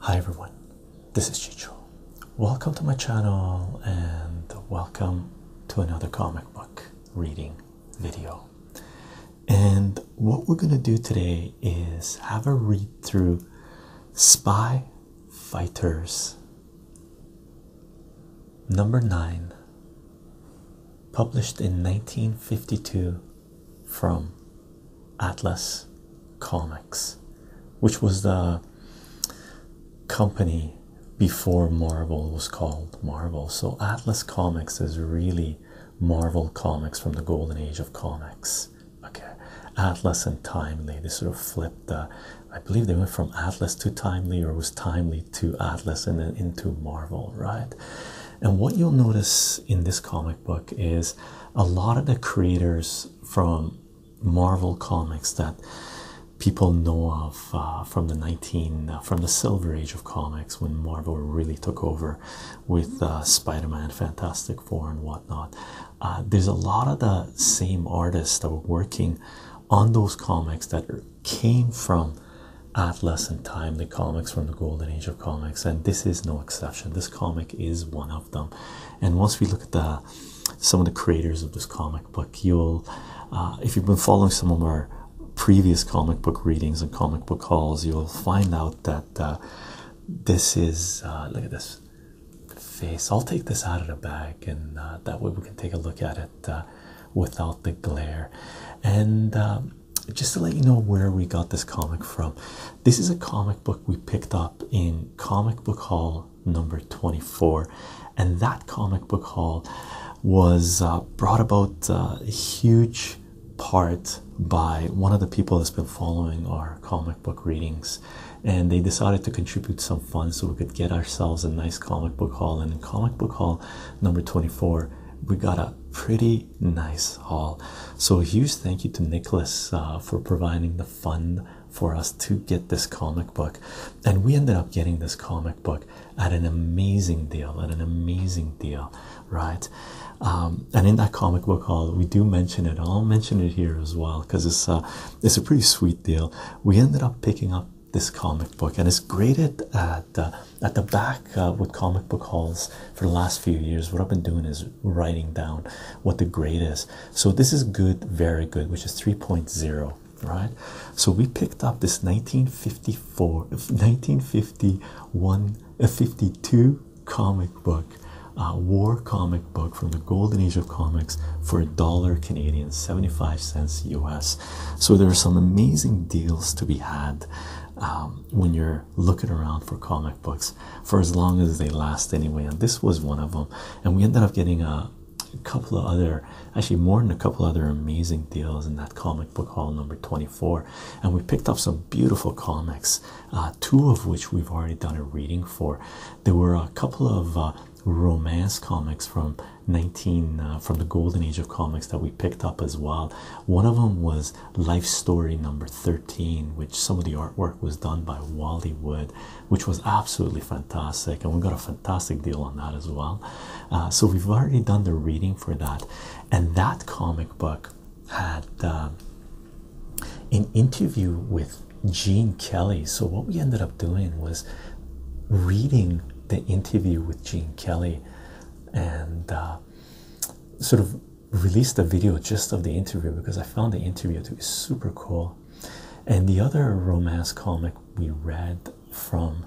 Hi everyone, this is Chicho. Welcome to my channel and welcome to another comic book reading video. And what we're going to do today is have a read through Spy Fighters number 9, published in 1952 from Atlas Comics, which was the company before Marvel was called Marvel. So Atlas Comics is really Marvel Comics from the golden age of comics. Okay, Atlas and Timely, they sort of flipped I believe they went from Atlas to Timely or was Timely to Atlas and then into Marvel, right? And what you'll notice in this comic book is a lot of the creators from Marvel comics that people know of uh, from the 19 uh, from the silver age of comics when Marvel really took over with uh, Spider-Man, Fantastic Four and whatnot. there's a lot of the same artists that were working on those comics that came from Atlas and Time, the comics from the golden age comics, and this is no exception. This comic is one of them. And once we look at some of the creators of this comic book, you'll uh, if you've been following some of our previous comic book readings and comic book hauls, you'll find out that uh, this is uh, look at this face. I'll take this out of the bag, and that way we can take a look at it without the glare. And um, just to let you know where we got this comic from, this is a comic book we picked up in comic book haul number 24, and that comic book haul was uh, brought about uh, a huge part by one of the people that's been following our comic book readings and they decided to contribute some funds so we could get ourselves a nice comic book haul and in comic book haul number 24 we got a pretty nice haul. So, a huge thank you to Nicholas uh, for providing the fund for us to get this comic book. And we ended up getting this comic book at an amazing deal, at an amazing deal, right? Um, and in that comic book haul, we do mention it. I'll mention it here as well because it's, uh, it's a pretty sweet deal. We ended up picking up this comic book and it's graded at, uh, at the back uh, with comic book halls for the last few years. What I've been doing is writing down what the grade is. So this is good, very good, which is 3.0, right? So we picked up this 1954, 1951, uh, 52 comic book, uh, war comic book from the golden age of comics for a dollar Canadian, 75 cents US. So there are some amazing deals to be had um, when you're looking around for comic books for as long as they last anyway and this was one of them and we ended up getting a, couple of other actually more than a couple other amazing deals in that comic book haul number 24 and we picked up some beautiful comics uh, two of which we've already done a reading for there were a couple of uh, romance comics from 19 uh, from the golden age of comics that we picked up as well one of them was Life Story number 13, which some of the artwork was done by Wally Wood, which was absolutely fantastic. And we got a fantastic deal on that as well. Uh, so we've already done the reading for that. And that comic book had um, an interview with Gene Kelly. So what we ended up doing was reading the interview with Gene Kelly and uh, sort of released a video just of the interview because I found the interview to be super cool. And the other romance comic we read from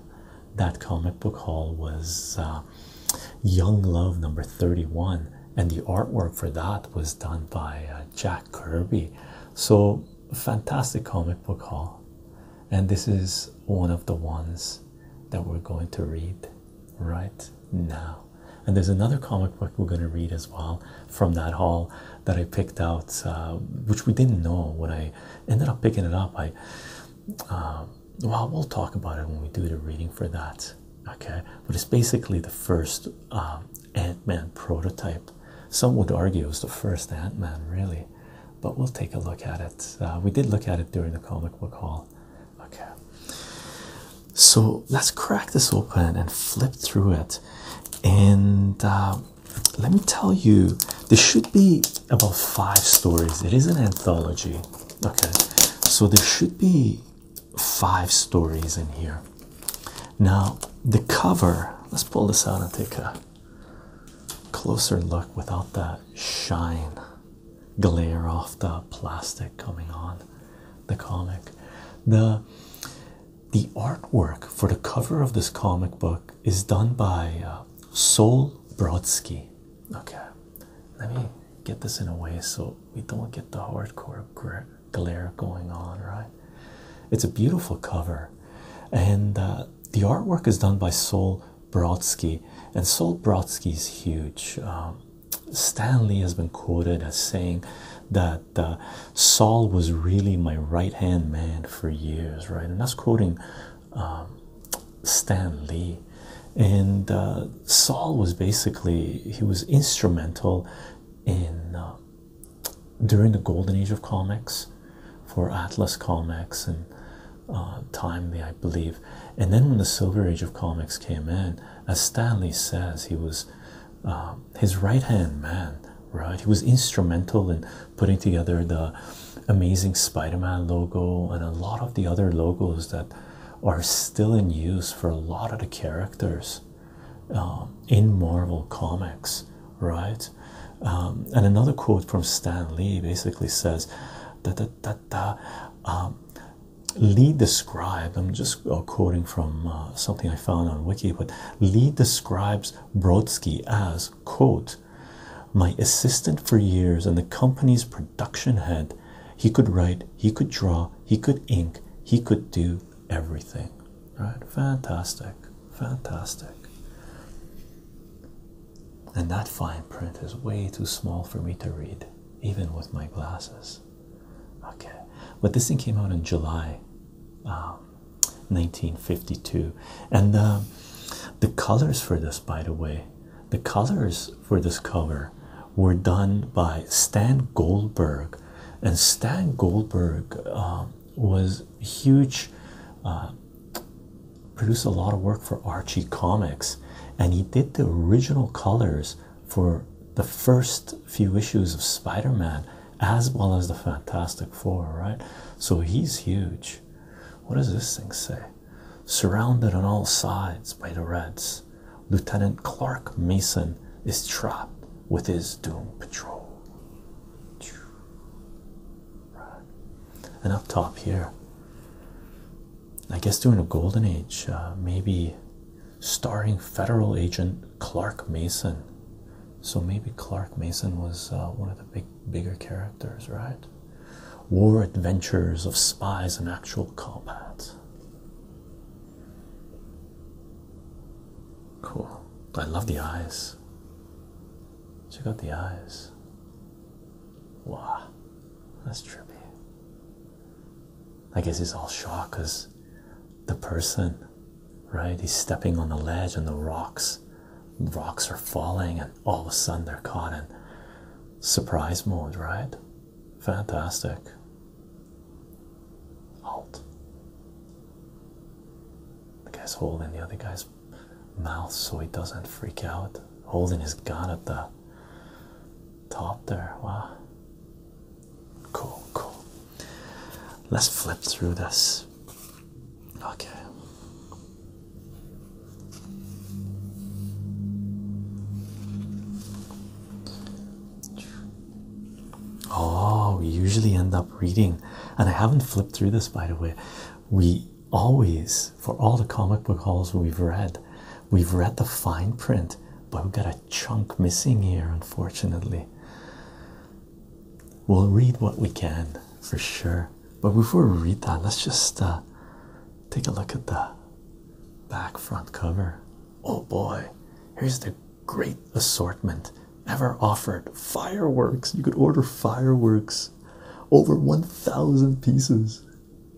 that comic book haul was uh, Young Love number 31, and the artwork for that was done by uh, Jack Kirby. So, fantastic comic book haul. And this is one of the ones that we're going to read right now. And there's another comic book we're going to read as well from that haul that I picked out, uh, which we didn't know when I ended up picking it up. I, um, well, we'll talk about it when we do the reading for that, okay? But it's basically the first um, Ant Man prototype. Some would argue it was the first Ant Man, really, but we'll take a look at it. Uh, we did look at it during the comic book haul. Okay, so let's crack this open and flip through it. And uh, let me tell you, there should be about five stories. It is an anthology. Okay, so there should be five stories in here. Now, the cover, let's pull this out and take a closer look without that shine glare off the plastic coming on the comic. The the artwork for the cover of this comic book is done by uh, Sol Brodsky. Okay, let me get this in a way so we don't get the hardcore glare going on, right? It's a beautiful cover, and uh, the artwork is done by Sol Brodsky, and Sol Brodsky is huge. Um, Stanley has been quoted as saying that uh, Saul was really my right hand man for years, right? And that's quoting um, Stan Lee. And uh, Saul was basically, he was instrumental in uh, during the golden age of comics for Atlas Comics and Timely, I believe. And then when the Silver Age of comics came in, as Stan Lee says, he was uh, his right hand man, right? He was instrumental in putting together the amazing Spider Man logo and a lot of the other logos that are still in use for a lot of the characters um, in Marvel Comics, right? Um, and another quote from Stan Lee basically says, uh, um, Lee described, I'm just uh, quoting from uh, something I found on Wiki, but Lee describes Brodsky as, quote, my assistant for years and the company's production head. He could write, he could draw, he could ink, he could do everything. Right? Fantastic. Fantastic. And that fine print is way too small for me to read, even with my glasses okay but this thing came out in july 1952 um, and um, the colors for this by the way the colors for this cover were done by stan goldberg and stan goldberg um, was huge uh, produced a lot of work for archie comics and he did the original colors for the first few issues of Spider-Man as well as the Fantastic Four, right? So he's huge. What does this thing say? Surrounded on all sides by the Reds, Lieutenant Clark Mason is trapped with his Doom Patrol. Right. And up top here, I guess during the golden age, uh, maybe starring federal agent Clark Mason. So maybe Clark Mason was uh, one of the big, bigger characters, right? War adventures of spies and actual combat. Cool. I love the eyes. Check out the eyes. Wow, that's trippy. I guess he's all shocked because the person, right? He's stepping on the ledge and the rocks, rocks are falling, and all of a sudden they're caught in surprise mode, right? Fantastic. Halt. The guy's holding the other guy's mouth so he doesn't freak out, holding his gun at the top there. Wow. Cool, cool. Let's flip through this. Okay. Oh, we usually end up reading, and I haven't flipped through this by the way. We always, for all the comic book halls we've read, we've read the fine print, but we've got a chunk missing here, unfortunately. We'll read what we can for sure, but before we read that, let's just uh, take a look at the back front cover. Oh boy, here's the great assortment ever offered fireworks. You could order fireworks over 1,000 pieces.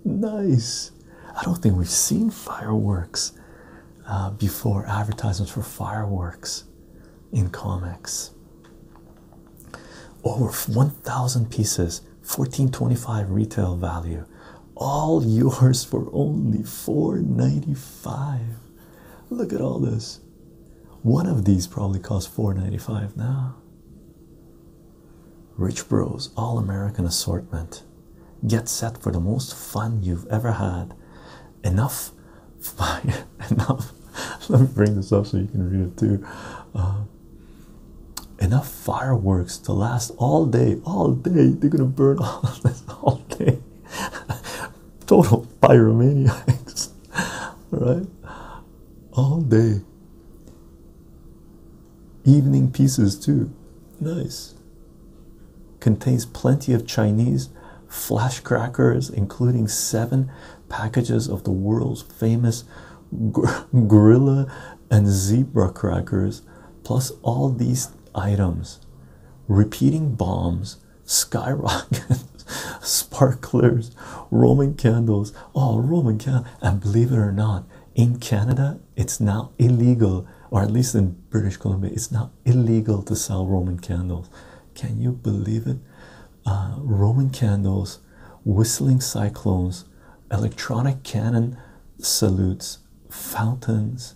Nice. I don't think we've seen fireworks uh, before, advertisements for fireworks in comics. Over 1,000 pieces, 1425 retail value, all yours for only four ninety-five. Look at all this. One of these probably costs four ninety-five now. Rich Bros All American Assortment. Get set for the most fun you've ever had. Enough, fire. enough. Let me bring this up so you can read it too. Uh, enough fireworks to last all day, all day. They're gonna burn all of this all day. Total pyromaniacs, right? All day. Evening pieces, too. Nice. Contains plenty of Chinese flash crackers, including seven packages of the world's famous gorilla and zebra crackers, plus all these items repeating bombs, skyrockets, sparklers, Roman candles. Oh, Roman candles. And believe it or not, in Canada it's now illegal, or at least in British Columbia, it's now illegal to sell Roman candles. Can you believe it? Uh, Roman candles, whistling cyclones, electronic cannon salutes, fountains,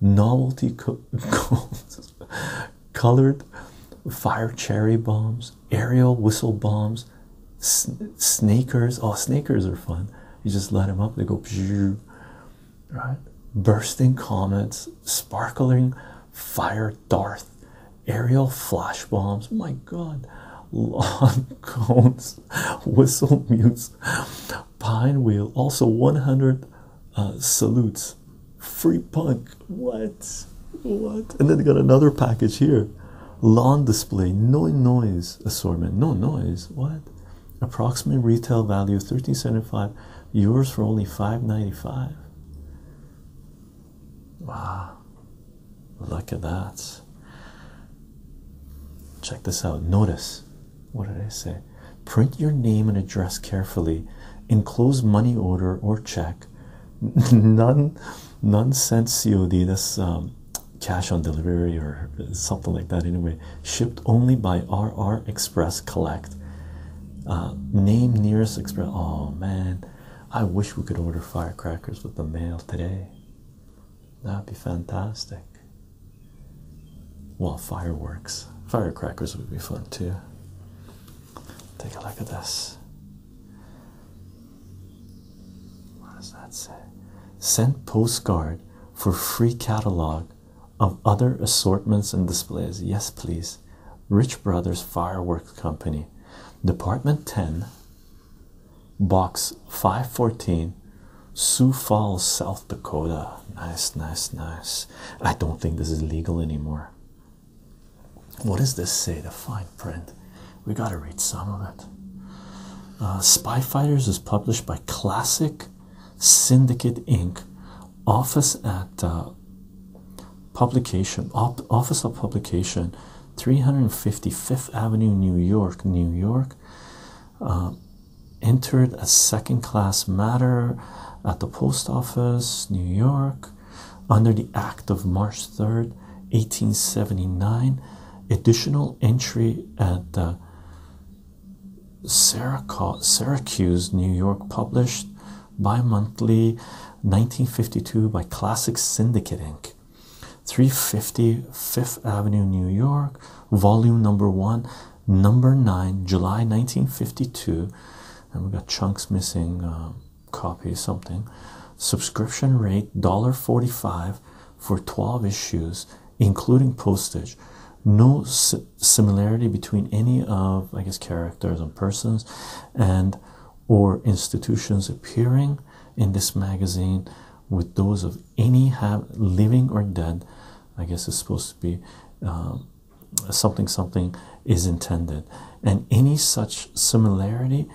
novelty colored fire cherry bombs, aerial whistle bombs, sn snakers. Oh, snakers are fun. You just light them up, they go right? Bursting comets, sparkling fire darth, aerial flash bombs. My God, lawn cones, whistle mutes, pine wheel. Also, one hundred uh, salutes. Free punk. What? What? And then they got another package here. Lawn display, no noise assortment, no noise. What? approximate retail value 1375 yours for only 595 wow look at that check this out notice what did i say print your name and address carefully enclose money order or check none none sent cod that's um cash on delivery or something like that anyway shipped only by rr express collect uh, name nearest express oh man i wish we could order firecrackers with the mail today that'd be fantastic well fireworks firecrackers would be fun too take a look at this what does that say sent postcard for free catalog of other assortments and displays. Yes, please. Rich Brothers Fireworks Company, Department 10, Box 514, Sioux Falls, South Dakota. Nice, nice, nice. I don't think this is legal anymore. What does this say? The fine print. We got to read some of it. Uh, Spy Fighters is published by Classic Syndicate Inc., Office at uh, Publication, Office of Publication, 355th Avenue, New York, New York. Uh, entered a second class matter at the post office, New York, under the Act of March 3rd, 1879. Additional entry at the Syracuse, New York, published bi monthly 1952 by Classic Syndicate Inc. 350 Fifth Avenue, New York, volume number one, number nine, July 1952. And we have got chunks missing, uh, copy something. Subscription rate $1.45 for 12 issues, including postage. No similarity between any of, I guess, characters and persons and or institutions appearing in this magazine with those of any have living or dead. I guess it's supposed to be um, something something is intended, and any such similarity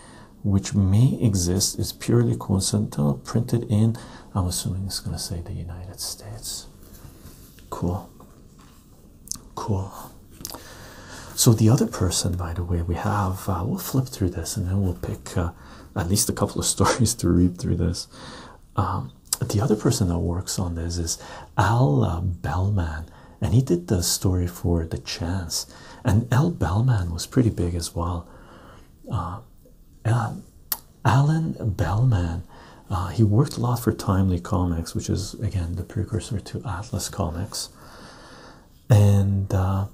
which may exist is purely coincidental, printed in I'm assuming it's going to say the United States. Cool. Cool. So, the other person, by the way, we have, uh, we'll flip through this and then we'll pick uh, at least a couple of stories to read through this. Um, the other person that works on this is Al uh, Bellman, and he did the story for The Chance. And Al Bellman was pretty big as well. Alan Bellman, uh, he worked a lot for Timely Comics, which is again the precursor to Atlas Comics, and uh,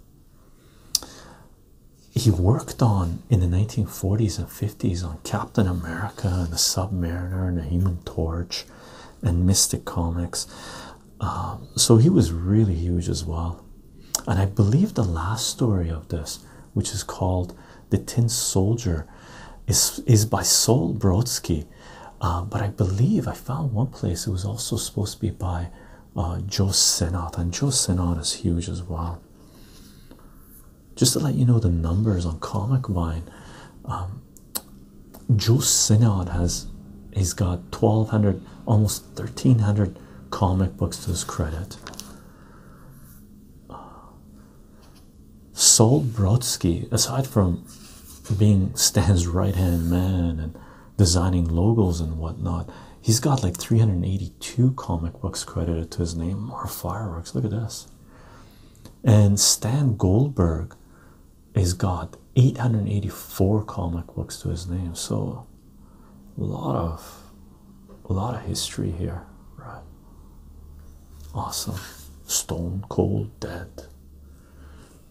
he worked on in the 1940s and 50s on Captain America and the Submariner and the Human Torch and Mystic Comics. Um, so he was really huge as well and I believe the last story of this, which is called The Tin Soldier, is is by Sol Brodsky. Uh, but I believe I found one place it was also supposed to be by uh, Joe Senat, and Joe Senat is huge as well. Just to let you know the numbers on Comic Vine, um, Joe Senat has he's got twelve hundred, almost thirteen hundred comic books to his credit. Sol Brodsky, aside from being Stan's right hand man and designing logos and whatnot, he's got like 382 comic books credited to his name. More fireworks, look at this. And Stan Goldberg has got 884 comic books to his name. So a lot of a lot of history here, right? Awesome. Stone Cold Dead.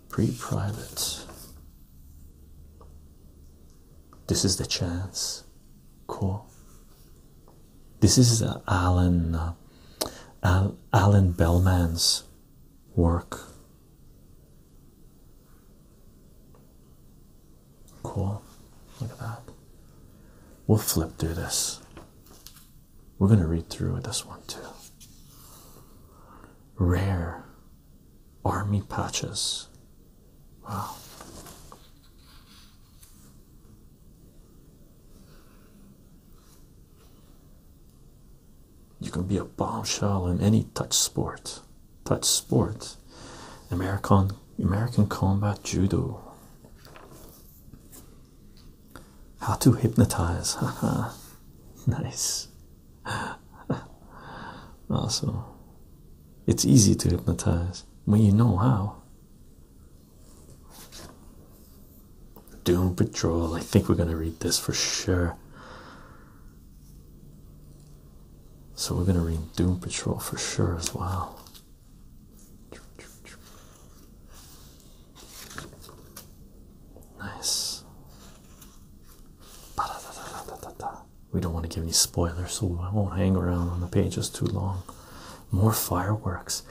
pre privates This is the chance. Cool. This is uh, Alan uh, Alan Bellman's work. Cool. Look at that. We'll flip through this. We're going to read through this one too. Rare army patches. Wow. You can be a bombshell in any touch sport. Touch sport. American American combat judo. How to hypnotize. Haha. nice. also, it's easy to hypnotize when you know how. Doom Patrol. I think we're going to read this for sure. So we're going to read Doom Patrol for sure as well. Nice. We don't want to give any spoilers, so I won't hang around on the pages too long. More fireworks.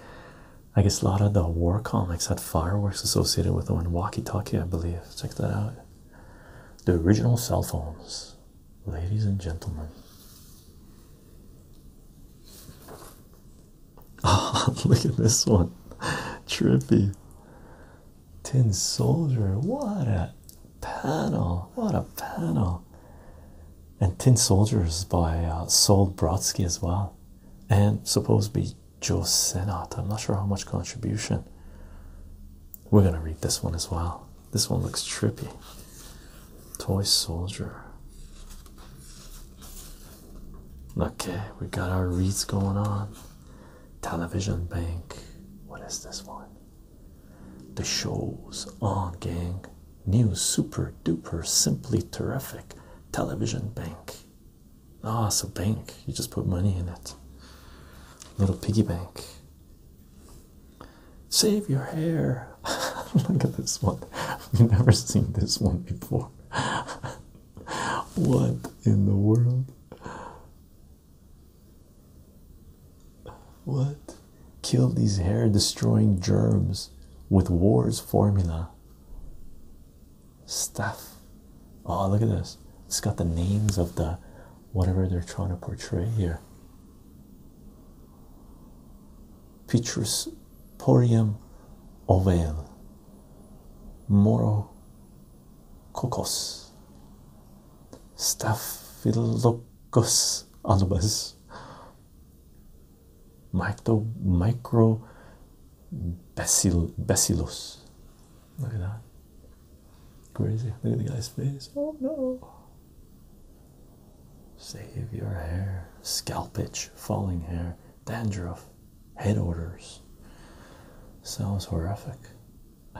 I guess a lot of the war comics had fireworks associated with them in walkie-talkie, I believe. Check that out. The original cell phones ladies and gentlemen. Oh, look at this one. Trippy. Tin Soldier. What a panel. What a panel. And Tin Soldiers by uh, Saul Brodsky as well. And supposed to be Joe Senat. I'm not sure how much contribution. We're going to read this one as well. This one looks trippy. Toy Soldier. Okay, we got our wreaths going on. Television Bank. What is this one? The show's on, gang. New super duper simply terrific television bank. Ah, so bank. You just put money in it. Little piggy bank. Save your hair. Look at this one. we have never seen this one before. what in the world? What? Kill these hair destroying germs with war's formula. Stuff. Oh, look at this. It's got the names of the whatever they're trying to portray here. Petrus Porium Ovale Moro cocos, Staphylococcus albus Micro Micro Bacillus Look at that. Crazy. Look at the guy's face. Oh no. Save your hair, scalp itch, falling hair, dandruff, head odors. Sounds horrific.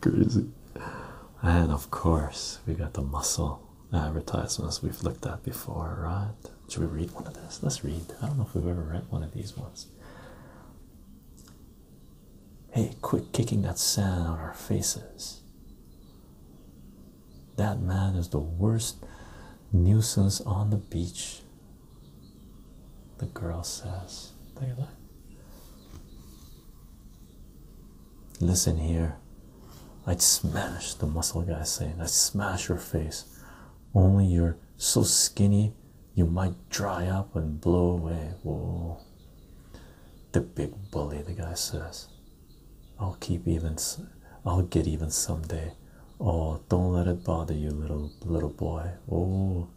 Crazy. And of course, we got the muscle advertisements we've looked at before, right? Should we read one of these? Let's read. I don't know if we've ever read one of these ones. Hey, quit kicking that sand on our faces. That man is the worst nuisance on the beach. The girl says, Look at that. Listen here. I'd smash the muscle guy saying, I'd smash your face. Only you're so skinny you might dry up and blow away. Whoa. The big bully, the guy says. I'll keep even, I'll get even someday. Oh, don't let it bother you, little little boy. Oh.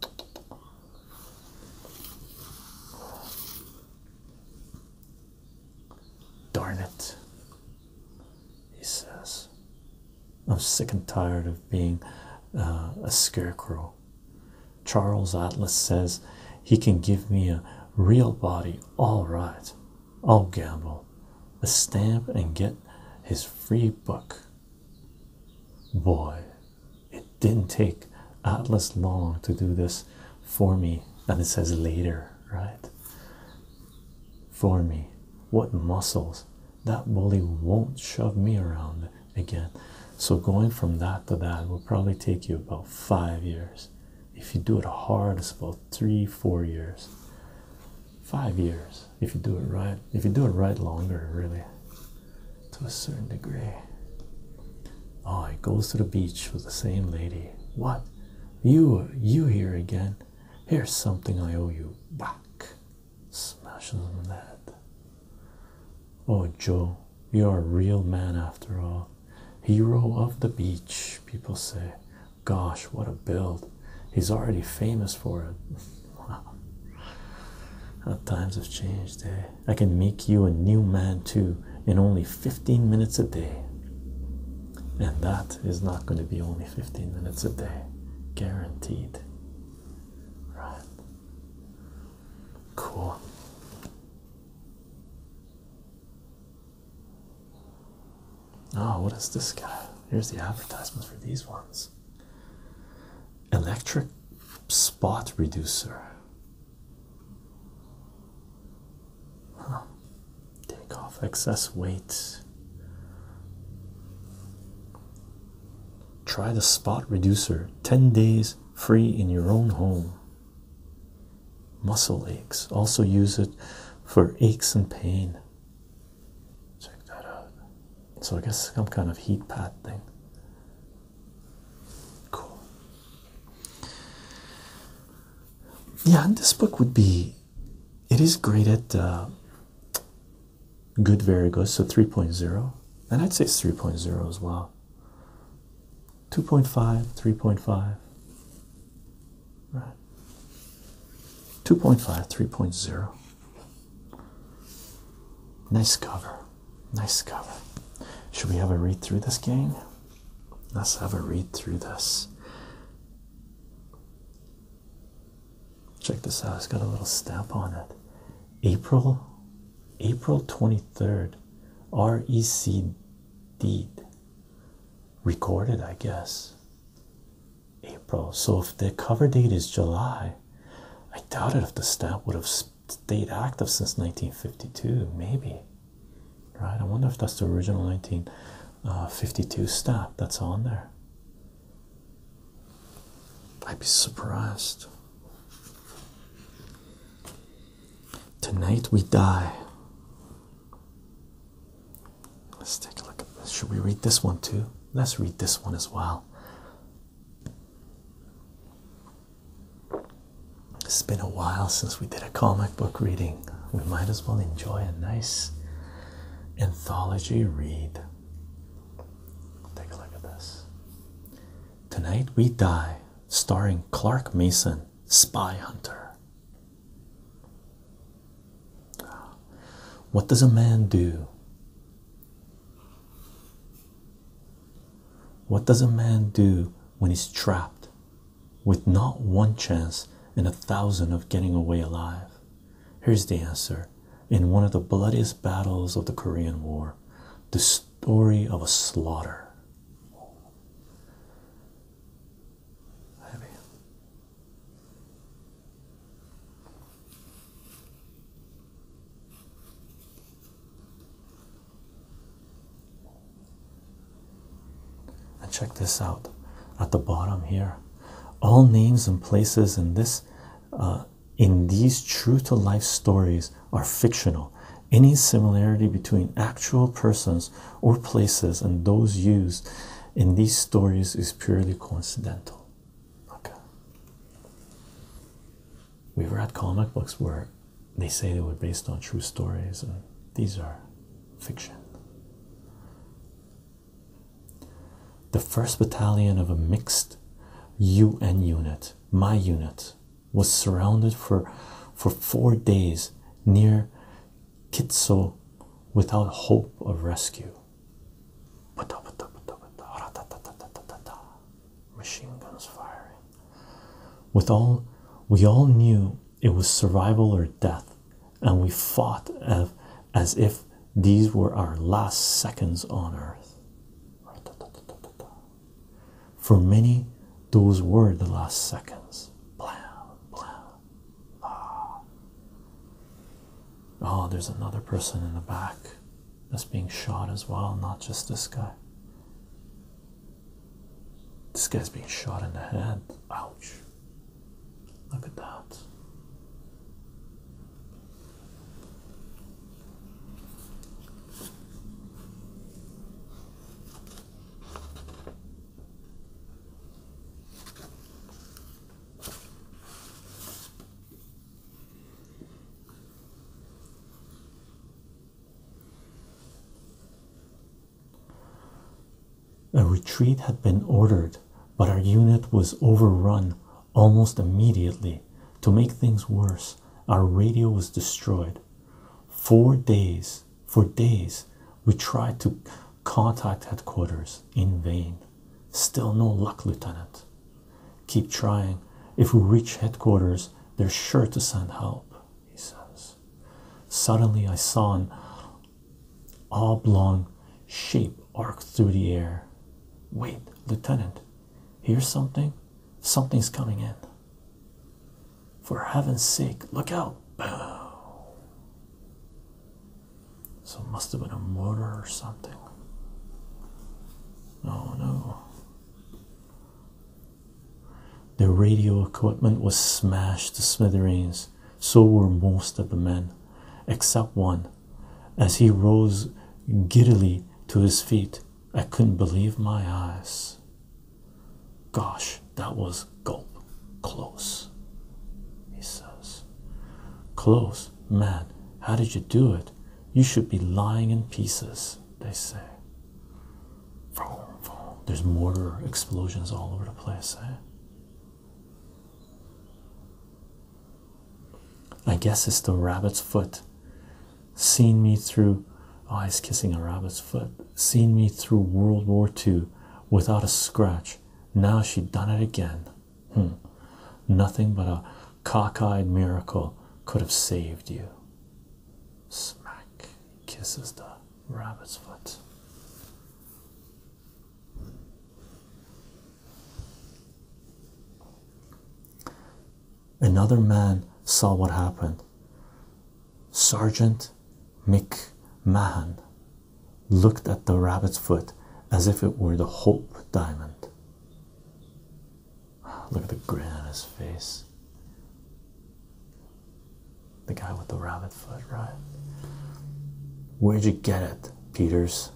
Darn it, he says. I'm sick and tired of being uh, a scarecrow. Charles Atlas says he can give me a real body. All right, I'll gamble a stamp and get his free book. Boy, it didn't take Atlas long to do this for me. And it says later, right? For me, what muscles that bully won't shove me around again. So going from that to that will probably take you about five years. If you do it hard, it's about three, four years. Five years if you do it right. If you do it right longer, really, to a certain degree. Oh, he goes to the beach with the same lady. What? You you here again? Here's something I owe you back. Smashes on head. Oh, Joe, you're a real man after all. Hero of the beach, people say. Gosh, what a build. He's already famous for it. wow. times have changed, eh? I can make you a new man too in only 15 minutes a day. And that is not going to be only 15 minutes a day. Guaranteed. Right. Cool. Oh, what is this guy? Here's the advertisement for these ones. Electric spot reducer. Take off excess weight. Try the spot reducer. 10 days free in your own home. Muscle aches. Also use it for aches and pain. Check that out. So I guess some kind of heat pad thing. Cool. Yeah, and this book would be. It is great at uh, good very good so 3.0 and i'd say it's 3.0 as well 2.5 3.5 right 2.5 3.0 nice cover nice cover should we have a read through this game? let's have a read through this check this out it's got a little stamp on it april April 23rd, E C D. recorded, I guess. April. So if the cover date is July, I doubt it if the stamp would have stayed active since 1952, maybe. Right? I wonder if that's the original 1952 stamp that's on there. I'd be surprised. Tonight we die. Let's take a look at this. Should we read this one too? Let's read this one as well. It's been a while since we did a comic book reading. We might as well enjoy a nice anthology read. Take a look at this. Tonight We Die, starring Clark Mason, Spy Hunter. What does a man do? What does a man do when he's trapped with not one chance in a thousand of getting away alive? Here's the answer in one of the bloodiest battles of the Korean War. The story of a slaughter. And check this out at the bottom here. All names and places in this uh, in these true to life stories are fictional. Any similarity between actual persons or places and those used in these stories is purely coincidental. Okay. We have read comic books where they say they were based on true stories, and these are fiction. The first battalion of a mixed UN unit, my unit, was surrounded for for four days near Kitso without hope of rescue. Machine guns firing. With all we all knew it was survival or death, and we fought as, as if these were our last seconds on earth. For many, those were the last seconds. Blah, blah, blah. Oh, there's another person in the back that's being shot as well, not just this guy. This guy's being shot in the head. Ouch. Look at that. A retreat had been ordered, but our unit was overrun Almost immediately, to make things worse, our radio was destroyed. Four days, for days, we tried to contact headquarters in vain. Still no luck, Lieutenant. Keep trying. If we reach headquarters, they're sure to send help, he says. Suddenly, I saw an oblong shape arc through the air. Wait, Lieutenant, hear something? Something's coming in. For heaven's sake, look out. So it must have been a motor or something. Oh no. The radio equipment was smashed to smithereens. So were most of the men, except one, as he rose giddily to his feet. I couldn't believe my eyes. Gosh, that was gulp close, he says. Close, man, how did you do it? You should be lying in pieces, they say. There's mortar explosions all over the place. Eh? I guess it's the rabbit's foot seen me through eyes kissing a rabbit's foot seen me through world war ii without a scratch now she done it again hmm. nothing but a cockeyed miracle could have saved you smack kisses the rabbit's foot Another man saw what happened. Sergeant McMahon looked at the rabbit's foot as if it were the Hope diamond. Look at the grin on his face. The guy with the rabbit foot, right? Where'd you get it, Peters?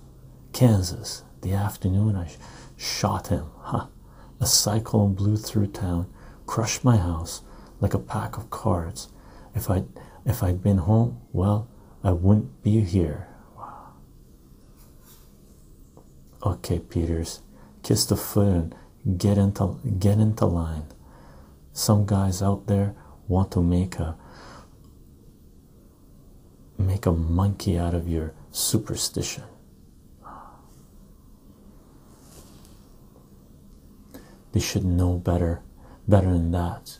Kansas. The afternoon I shot him, huh? A cyclone blew through town, crushed my house like a pack of cards. If I if I'd been home, well, I wouldn't be here. Okay, Peters, kiss the foot and get into get into line. Some guys out there want to make a make a monkey out of your superstition. They should know better, better than that.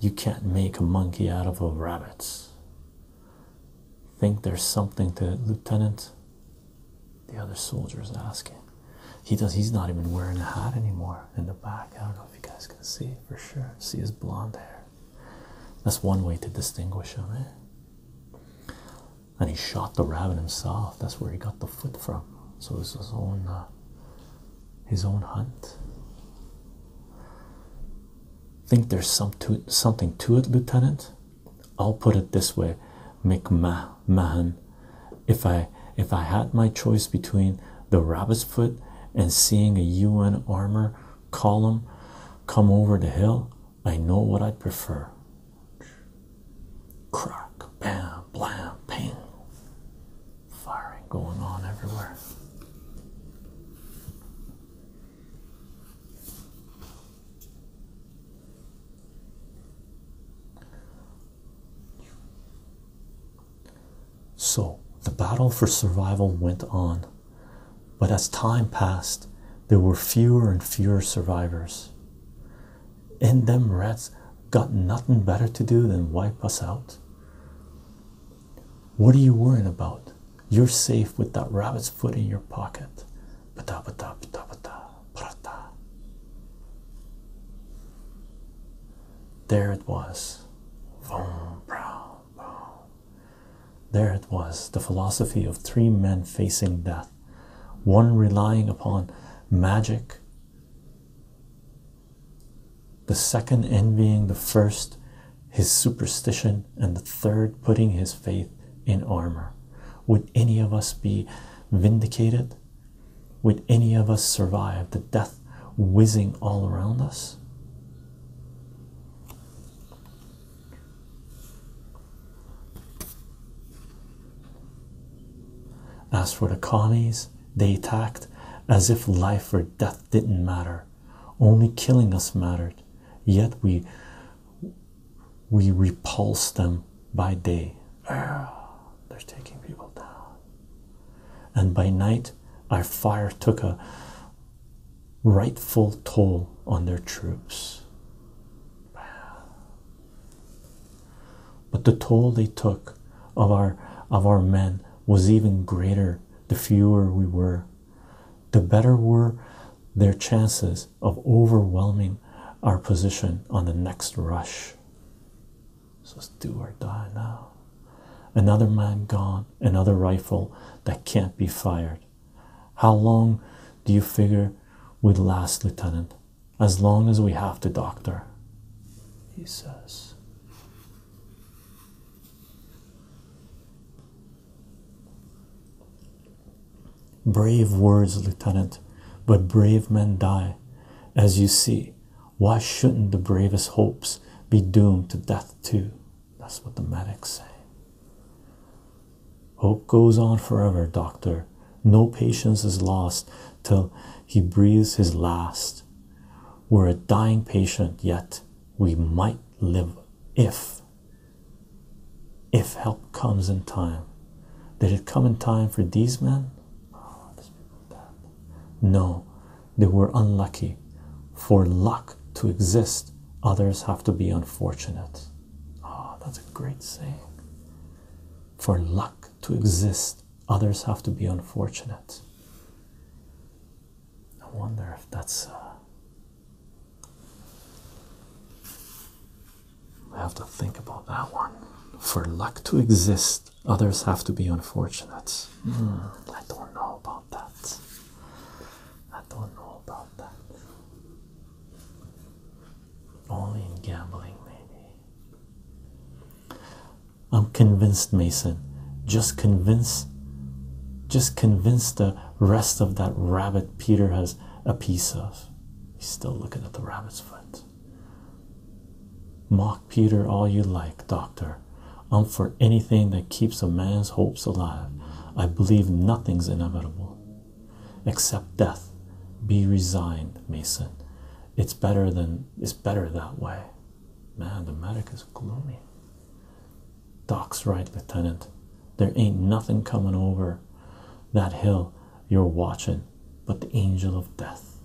You can't make a monkey out of a rabbit. Think there's something to it, Lieutenant? The other soldier's asking. He does he's not even wearing a hat anymore in the back. I don't know if you guys can see for sure. See his blonde hair. That's one way to distinguish him. Eh? And he shot the rabbit himself. That's where he got the foot from. So it's his own uh, his own hunt. Think there's some to something to it, Lieutenant. I'll put it this way, McMahon. If I if I had my choice between the rabbit's foot and seeing a UN armor column come over the hill, I know what I prefer. Crack, bam, blam, ping. Firing going on everywhere. So the battle for survival went on. But as time passed, there were fewer and fewer survivors. And them rats got nothing better to do than wipe us out. What are you worrying about? You're safe with that rabbit's foot in your pocket. Pata, pata, pata, pata, prata. There it was. Vroom, brow. There it was the philosophy of three men facing death, one relying upon magic, the second envying the first his superstition, and the third putting his faith in armor. Would any of us be vindicated? Would any of us survive the death whizzing all around us? As for the Connies, they attacked as if life or death didn't matter, only killing us mattered. Yet we we repulsed them by day. they're taking people down. And by night, our fire took a rightful toll on their troops. But the toll they took of our of our men was even greater the fewer we were, the better were their chances of overwhelming our position on the next rush. So let's do or die now. Another man gone, another rifle that can't be fired. How long do you figure we'd last, Lieutenant? As long as we have the doctor, he says. Brave words, Lieutenant, but brave men die. As you see, why shouldn't the bravest hopes be doomed to death, too? That's what the medics say. Hope goes on forever, doctor. No patience is lost till he breathes his last. We're a dying patient, yet we might live if if help comes in time. Did it come in time for these men? Oh, no, they were unlucky. For luck to exist, others have to be unfortunate. oh, that's a great saying. For luck to exist, others have to be unfortunate. I wonder if that's. Uh, I have to think about that one. For luck to exist, others have to be unfortunate. Hmm, I don't know about about that. I don't know about that. Only in gambling, maybe. I'm convinced, Mason. Just convince just convince the rest of that rabbit Peter has a piece of. He's still looking at the rabbit's foot. Mock Peter all you like, Doctor. I'm for anything that keeps a man's hopes alive. I believe nothing's inevitable except death. Be resigned, Mason. It's better than it's better that way. Man, the medic is gloomy. Doc's right, Lieutenant. There ain't nothing coming over that hill you're watching but the angel of death.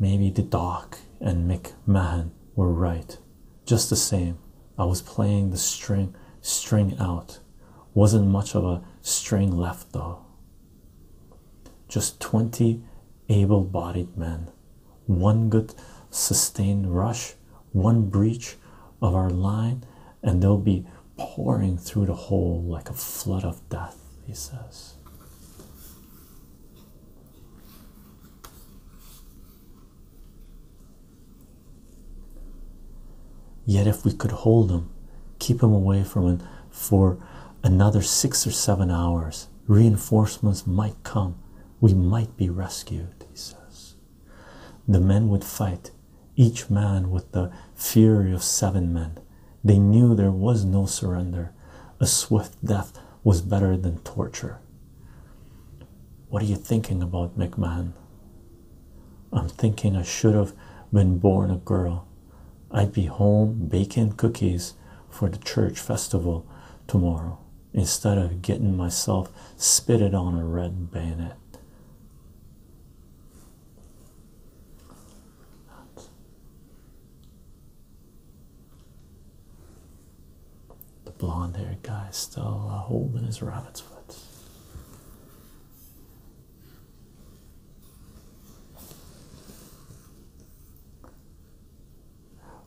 Maybe the Doc and Mick Mahan were right. Just the same, I was playing the string string out. Wasn't much of a string left though. Just twenty able-bodied men. One good sustained rush, one breach of our line, and they'll be pouring through the hole like a flood of death, he says. Yet, if we could hold him, keep him away from it for another six or seven hours, reinforcements might come. We might be rescued, he says. The men would fight, each man with the fury of seven men. They knew there was no surrender. A swift death was better than torture. What are you thinking about, McMahon? I'm thinking I should have been born a girl. I'd be home baking cookies for the church festival tomorrow instead of getting myself spitted on a red bayonet. The blonde haired guy still uh, holding his rabbit's foot.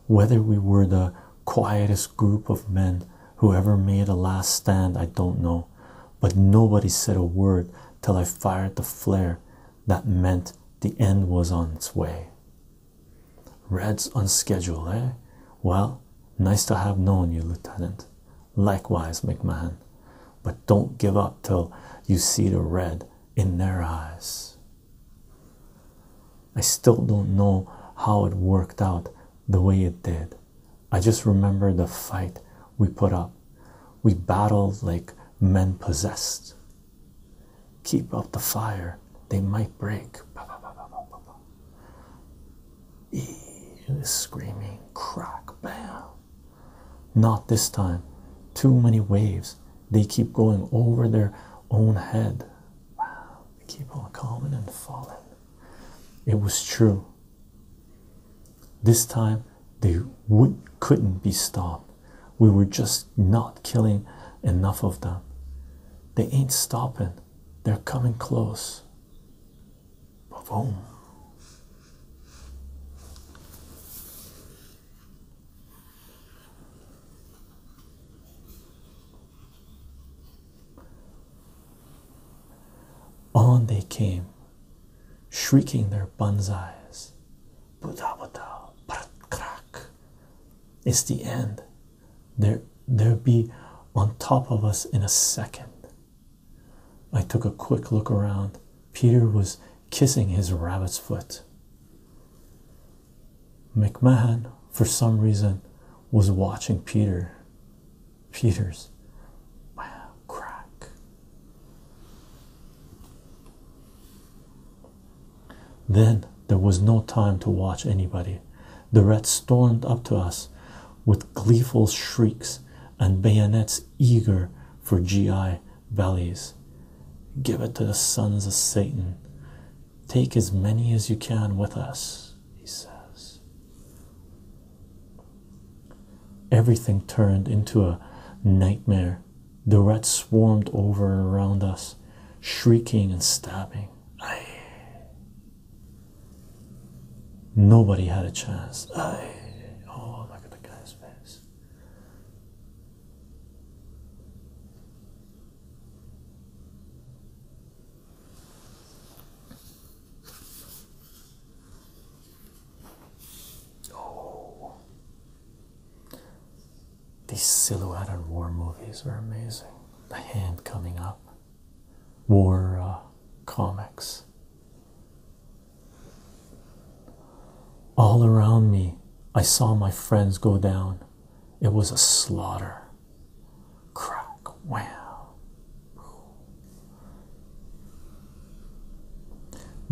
Whether we were the quietest group of men who ever made a last stand, I don't know, but nobody said a word till I fired the flare that meant the end was on its way. Reds on schedule, eh? Well, nice to have known you, Lieutenant. Likewise, McMahon. But don't give up till you see the red in their eyes. I still don't know how it worked out the way it did. I just remember the fight we put up. We battled like men possessed. Keep up the fire, they might break. Is screaming crack bam. Not this time. Too many waves. They keep going over their own head. Wow. They keep on coming and falling. It was true. This time they would couldn't be stopped. We were just not killing enough of them. They ain't stopping. They're coming close. Boom. On they came, shrieking their banzais. Buddha, Buddha, crack, it's the end. There, they'll be on top of us in a second. I took a quick look around. Peter was kissing his rabbit's foot. McMahon, for some reason, was watching Peter. Peter's wow, crack. Then there was no time to watch anybody. The Reds stormed up to us with gleeful shrieks and bayonets eager for GI bellies. Give it to the sons of Satan. Take as many as you can with us, he says. Everything turned into a nightmare the rats swarmed over and around us, shrieking and stabbing. Aye. Nobody had a chance. Aye. Oh, look at the guy's face. Oh, these silhouette and war movies were amazing. The hand coming up, war uh, comics. All around me, I saw my friends go down. It was a slaughter. Crack, wow.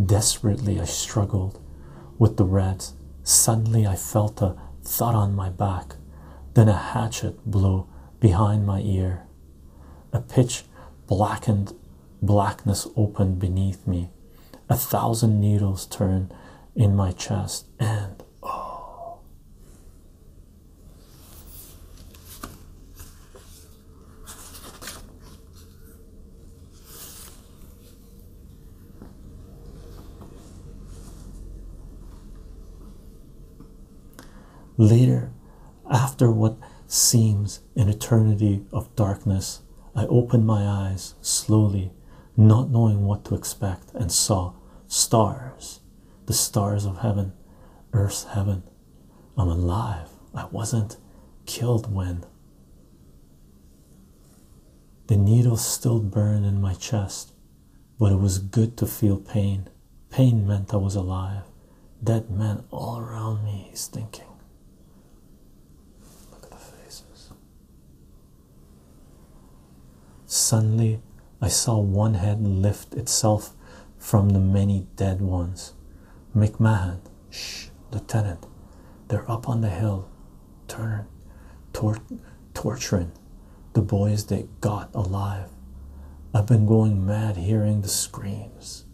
Desperately, I struggled with the rats, Suddenly I felt a thud on my back, then a hatchet blow behind my ear. A pitch blackened blackness opened beneath me. A thousand needles turned in my chest, and oh. Later, after what seems an eternity of darkness, I opened my eyes slowly, not knowing what to expect, and saw stars, the stars of heaven, earth's heaven. I'm alive. I wasn't killed when. The needles still burned in my chest, but it was good to feel pain. Pain meant I was alive. Dead men all around me, he's thinking. Look at the faces. Suddenly, I saw one head lift itself from the many dead ones. McMahon, shh, Lieutenant, they're up on the hill turn, torturing the boys that got alive. I've been going mad hearing the screams.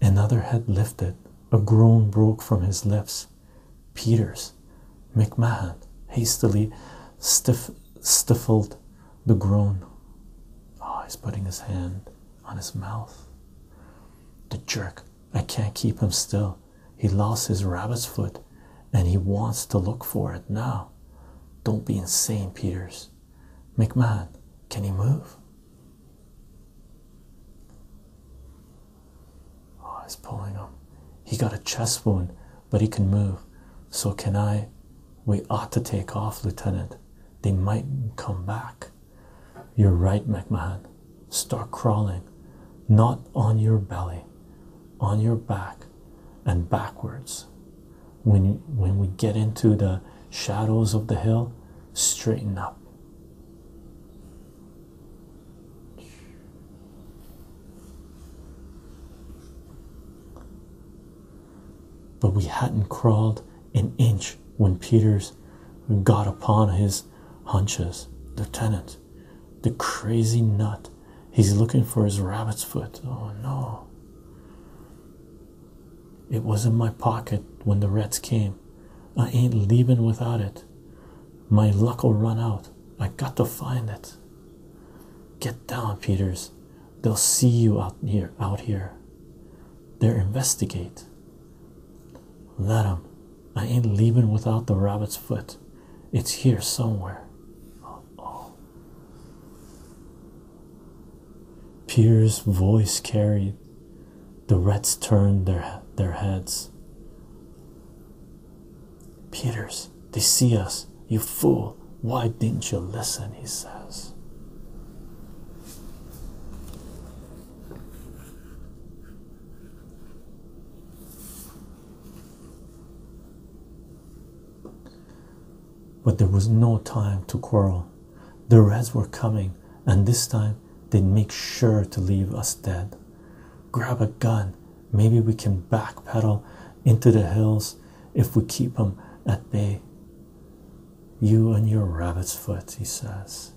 Another head lifted, a groan broke from his lips. Peters, McMahon hastily stifled the groan. Oh, he's putting his hand on his mouth. The jerk, I can't keep him still. He lost his rabbit's foot and he wants to look for it now. Don't be insane, Peters. McMahon, can he move? Oh, he's pulling him. He got a chest wound, but he can move. So, can I? We ought to take off, Lieutenant. They might come back. You're right, McMahon. Start crawling, not on your belly, on your back and backwards. When, when we get into the shadows of the hill, straighten up. But we hadn't crawled an inch when Peters got upon his hunches. Lieutenant, the crazy nut, he's looking for his rabbit's foot. Oh no. It was in my pocket when the Reds came. I ain't leaving without it. My luck will run out. I got to find it. Get down, Peters. They'll see you out here. Out here. they will investigate. Let 'em. I ain't leavin' without the rabbit's foot. It's here somewhere. Oh, oh. Peter's voice carried. The rats turned their their heads. Peters, they see us, you fool. Why didn't you listen? He says. But there was no time to quarrel. The Reds were coming, and this time they'd make sure to leave us dead. Grab a gun Maybe we can backpedal into the hills if we keep them at bay. You and your rabbit's foot, he says.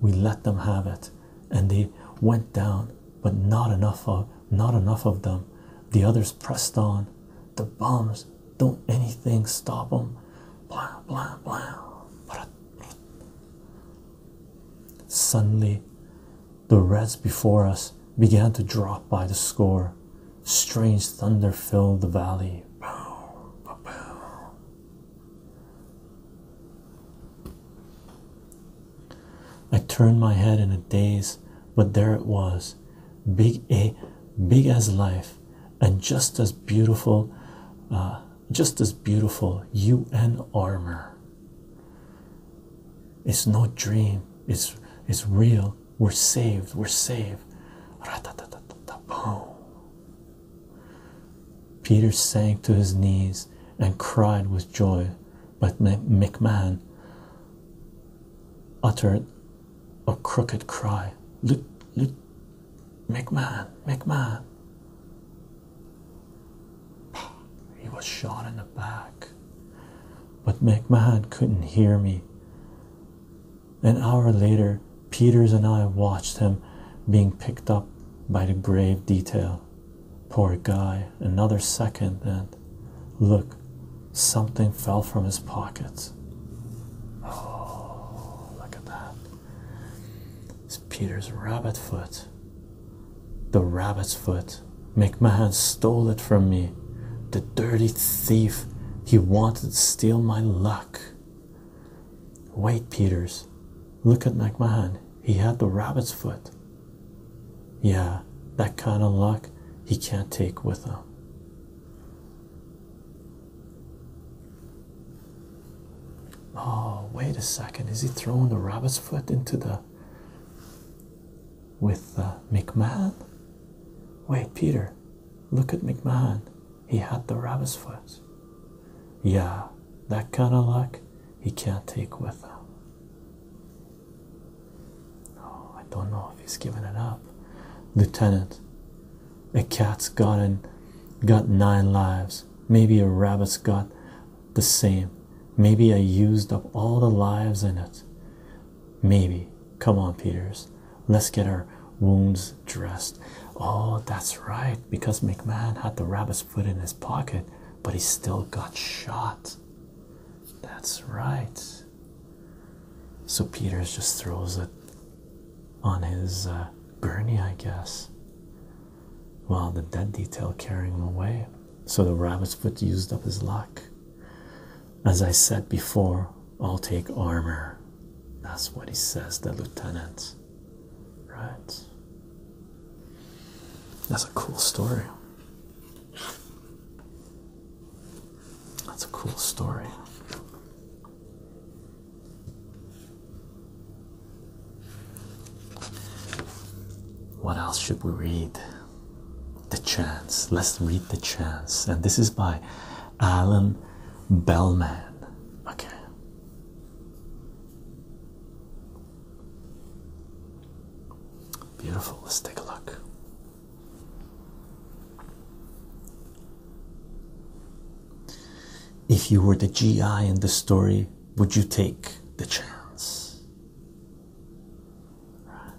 We let them have it, and they went down, but not enough of not enough of them. The others pressed on. The bombs don't anything stop them. Blah blah blah. Suddenly, the reds before us began to drop by the score. Strange thunder filled the valley. I turned my head in a daze, but there it was, big a, big as life, and just as beautiful, uh, just as beautiful UN armor. It's no dream. It's it's real. We're saved. We're saved. Peter sank to his knees and cried with joy, but McMahon uttered a crooked cry. Look, look, McMahon, McMahon. He was shot in the back. But McMahon couldn't hear me. An hour later, Peters and I watched him being picked up by the grave detail. Poor guy, another second, and look, something fell from his pockets. Oh, look at that. It's Peter's rabbit foot. The rabbit's foot. McMahon stole it from me. The dirty thief. He wanted to steal my luck. Wait, Peters. Look at McMahon. He had the rabbit's foot. Yeah, that kind of luck he can't take with him. Oh, wait a second. Is he throwing the rabbit's foot into the with uh, McMahon. Wait, Peter, look at McMahon. He had the rabbit's foot. Yeah, that kind of luck he can't take with him. Uh, oh, I don't know if he's giving it up. Lieutenant, a cat's got, and got nine lives. Maybe a rabbit's got the same. Maybe I used up all the lives in it. Maybe. Come on, Peters. Let's get our wounds dressed. Oh, that's right. Because McMahon had the rabbit's foot in his pocket, but he still got shot. That's right. So Peters just throws it on his uh, I guess. Well, the dead detail carrying him away. So the rabbit's foot used up his luck. As I said before, I'll take armor. That's what he says, the lieutenant. Right. That's a cool story. That's a cool story. What else should we read? The Chance. Let's read The Chance. And this is by Alan Bellman. Okay. Beautiful. Let's take a look. If you were the GI in the story, would you take the chance? Right.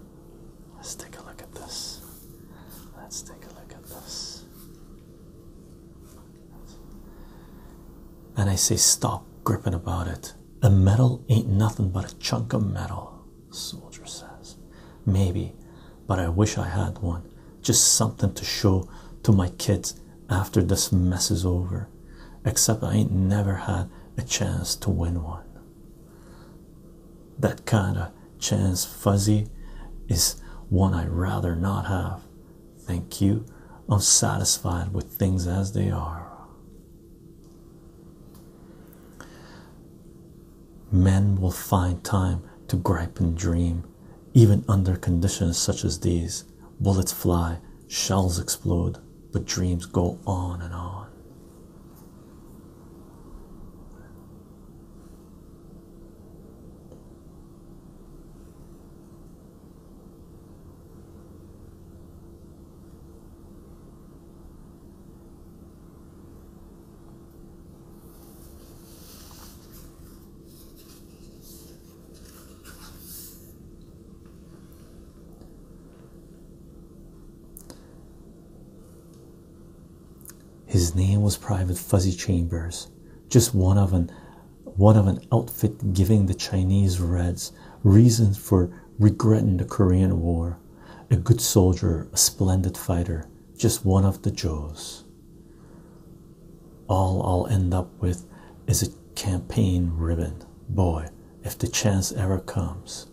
Let's take a look at this. Let's take a look at this. And I say, stop gripping about it. A medal ain't nothing but a chunk of metal, soldier says. Maybe, but I wish I had one. Just something to show to my kids after this mess is over, except I ain't never had a chance to win one. That kind of chance, fuzzy, is one I'd rather not have. Thank you. I'm satisfied with things as they are. Men will find time to gripe and dream, even under conditions such as these bullets fly, shells explode, but dreams go on and on. His name was Private Fuzzy Chambers, just one of an one of an outfit giving the Chinese Reds reasons for regretting the Korean War. A good soldier, a splendid fighter, just one of the Joes. All I'll end up with is a campaign ribbon. Boy, if the chance ever comes.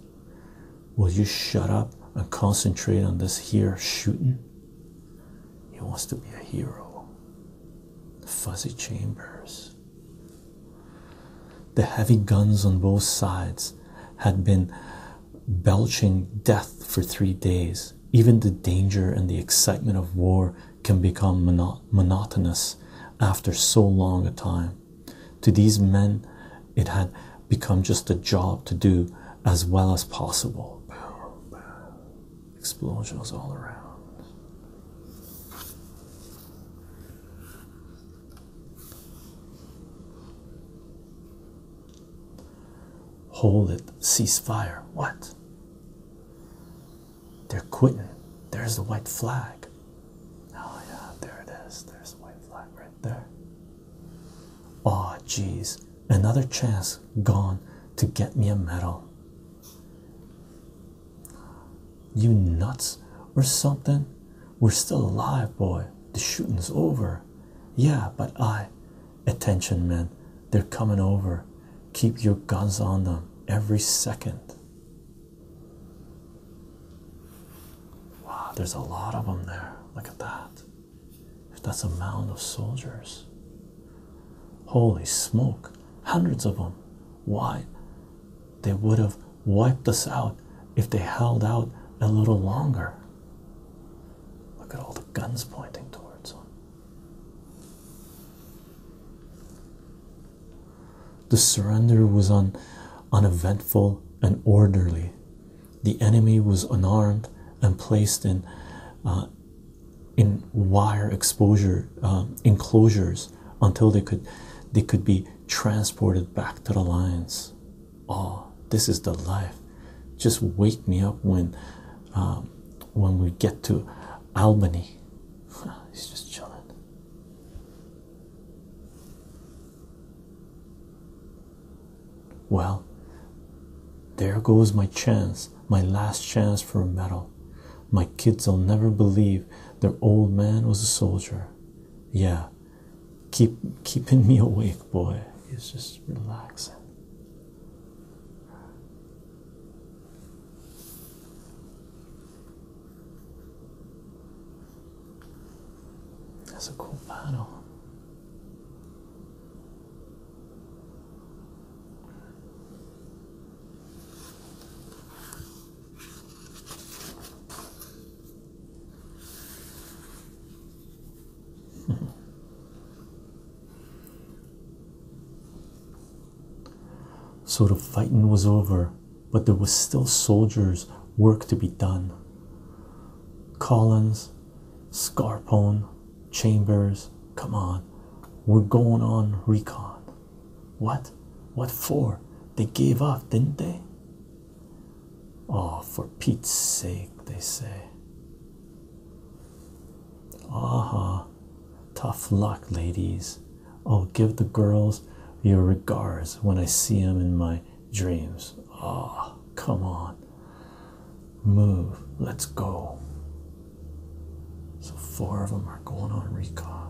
Will you shut up and concentrate on this here shooting? He wants to be a hero. Fuzzy Chambers. The heavy guns on both sides had been belching death for three days. Even the danger and the excitement of war can become monotonous after so long a time. To these men, it had become just a job to do as well as possible. Explosions all around. Hold it, Ceasefire! What? They're quitting. There's the white flag. Oh yeah, there it is. There's the white flag right there. Oh jeez, another chance gone to get me a medal. You nuts or something? We're still alive, boy. The shooting's over. Yeah, but I. Attention, men. They're coming over. Keep your guns on them every second. Wow, there's a lot of them there. Look at that. If That's a mound of soldiers. Holy smoke, hundreds of them. Why? They would have wiped us out if they held out a little longer. Look at all the guns pointing towards them. The surrender was uneventful and orderly. The enemy was unarmed and placed in uh, wire exposure uh, enclosures until they could be transported back to the lines. Oh, this is the life. Just wake me up when uh, when we get to Albany. He's just chilling. Well, there goes my chance, my last chance for a medal. My kids'll never believe their old man was a soldier. Yeah, keep keeping me awake, boy. It's just relaxing. That's a cool panel. So the fighting was over, but there was still soldiers' work to be done. Collins, Scarpone, Chambers, come on, we're going on recon. What? What for? They gave up, didn't they? Oh, for Pete's sake, they say. Aha, tough luck, ladies. I'll oh, give the girls your regards when I see them in my dreams. Ah, come on. Move. Let's go. So, four of them are going on recon.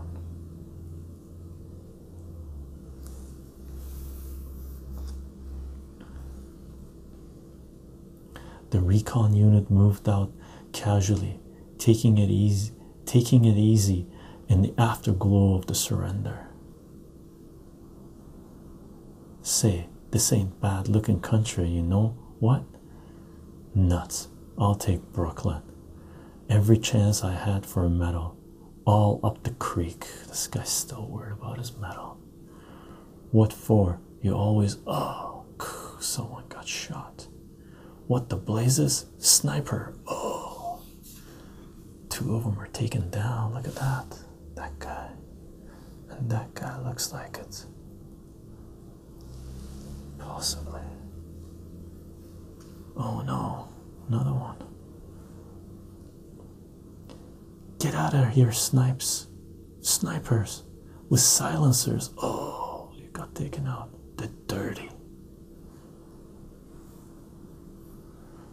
The recon unit moved out casually, taking it easy, taking it easy in the afterglow of the surrender. Say, this ain't bad looking country, you know what? Nuts. I'll take Brooklyn. Every chance I had for a medal, all up the creek. This guy's still worried about his medal. What for? You always, oh, someone got shot. What the blazes? Sniper. Oh, two of them are taken down. Look at that. That guy. And that guy looks like it. Possibly. Oh no, another one. Get out of here, snipes. Snipers with silencers. Oh, you got taken out. They're dirty.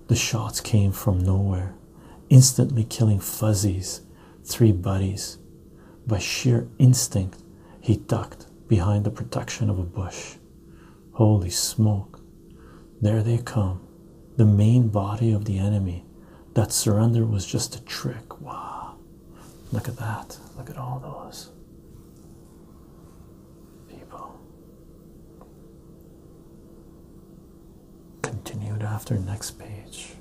The shots came from nowhere, instantly killing Fuzzy's three buddies. By sheer instinct, he ducked behind the protection of a bush. Holy smoke! There they come, the main body of the enemy. That surrender was just a trick. Wow! Look at that. Look at all those people. Continued after next page.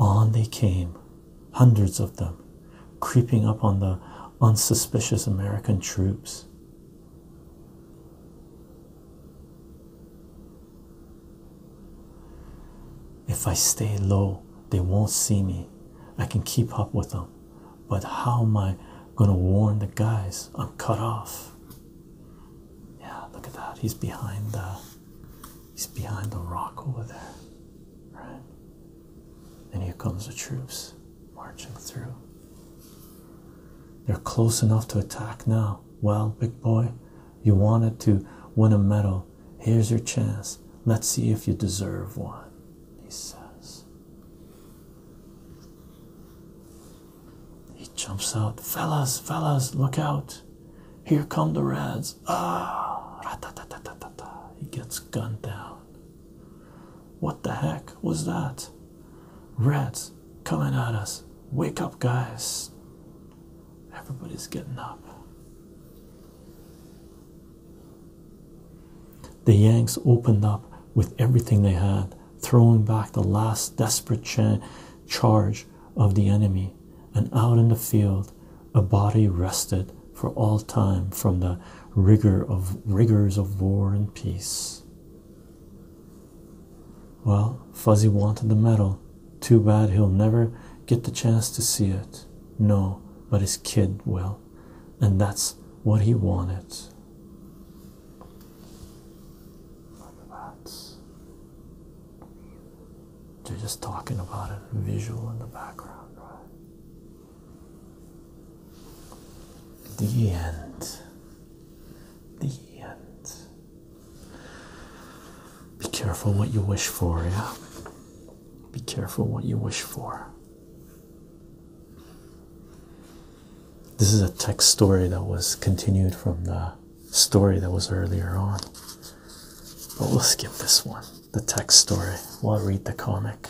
On they came, hundreds of them, creeping up on the unsuspicious American troops. If I stay low, they won't see me. I can keep up with them. But how am I going to warn the guys? I'm cut off. Yeah, look at that. He's behind the he's behind the rock over there. Right? And here comes the troops marching through. They're close enough to attack now. Well, big boy, you wanted to win a medal. Here's your chance. Let's see if you deserve one, he says. He jumps out. Fellas, fellas, look out. Here come the Reds. Ah! He gets gunned down. What the heck was that? Reds coming at us. Wake up, guys. Everybody's getting up. The Yanks opened up with everything they had, throwing back the last desperate charge of the enemy, and out in the field, a body rested for all time from the rigor of rigors of war and peace. Well, Fuzzy wanted the medal. Too bad he'll never get the chance to see it. No, but his kid will. And that's what he wanted. Look at are just talking about it, visual in the background, right? The end. The end. Be careful what you wish for, yeah? Be careful what you wish for. This is a text story that was continued from the story that was earlier on. But we'll skip this one the text story while I read the comic.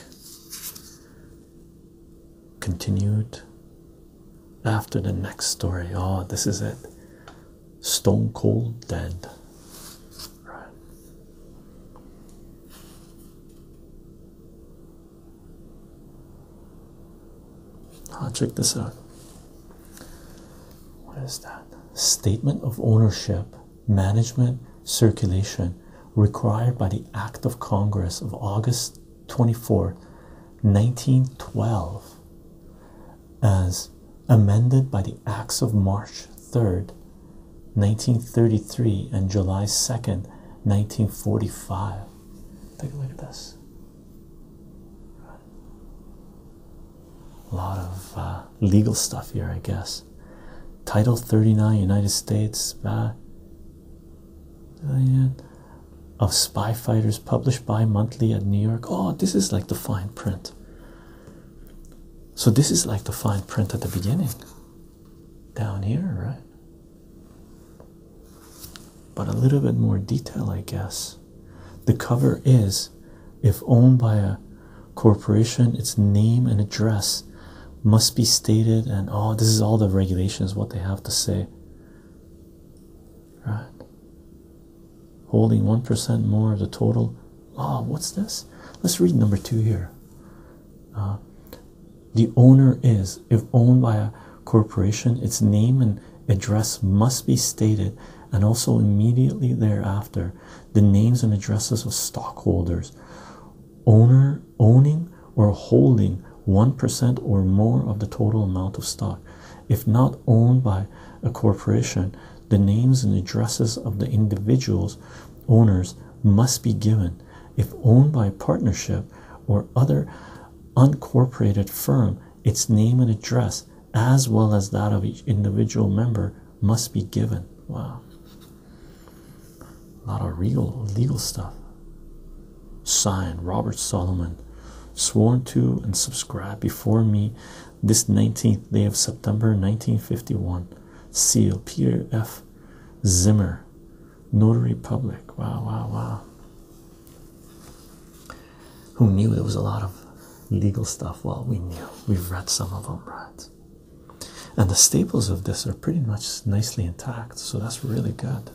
Continued after the next story. Oh, this is it. Stone Cold Dead. Right. Oh, check this out. What is that? Statement of ownership management circulation required by the Act of Congress of August 24, 1912, as amended by the Acts of March 3rd, 1933 and July 2nd, 1945. Take a look at this. A lot of uh, legal stuff here, I guess. Title 39 United States of Spy Fighters, published bi monthly at New York. Oh, this is like the fine print. So, this is like the fine print at the beginning, down here, right? But a little bit more detail, I guess. The cover is if owned by a corporation, its name and address must be stated and oh this is all the regulations what they have to say right holding 1% more of the total oh what's this let's read number two here uh, the owner is if owned by a corporation its name and address must be stated and also immediately thereafter the names and addresses of stockholders owner owning or holding 1% or more of the total amount of stock if not owned by a corporation the names and addresses of the individuals owners must be given if owned by a partnership or other uncorporated firm its name and address as well as that of each individual member must be given wow a lot of real legal stuff. Signed Robert Solomon, sworn to and subscribed before me this 19th day of September 1951. Seal Peter F. Zimmer, Notary Public. Wow, wow, wow. Who knew there was a lot of legal stuff? Well, we knew. We've read some of them, right? And the staples of this are pretty much nicely intact, so that's really good.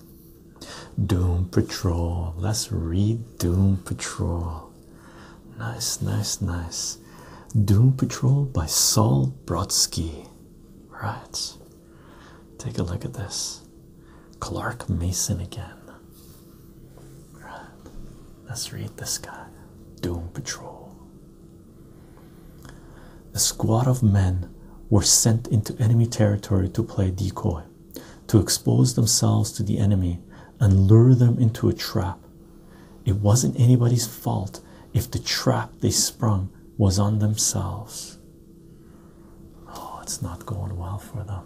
Doom Patrol. Let's read Doom Patrol. Nice, nice, nice. Doom Patrol by Saul Brodsky. Right. Take a look at this. Clark Mason again. Right. Let's read this guy. Doom Patrol. A squad of men were sent into enemy territory to play decoy, to expose themselves to the enemy and lure them into a trap. It wasn't anybody's fault if the trap they sprung was on themselves. Oh, it's not going well for them.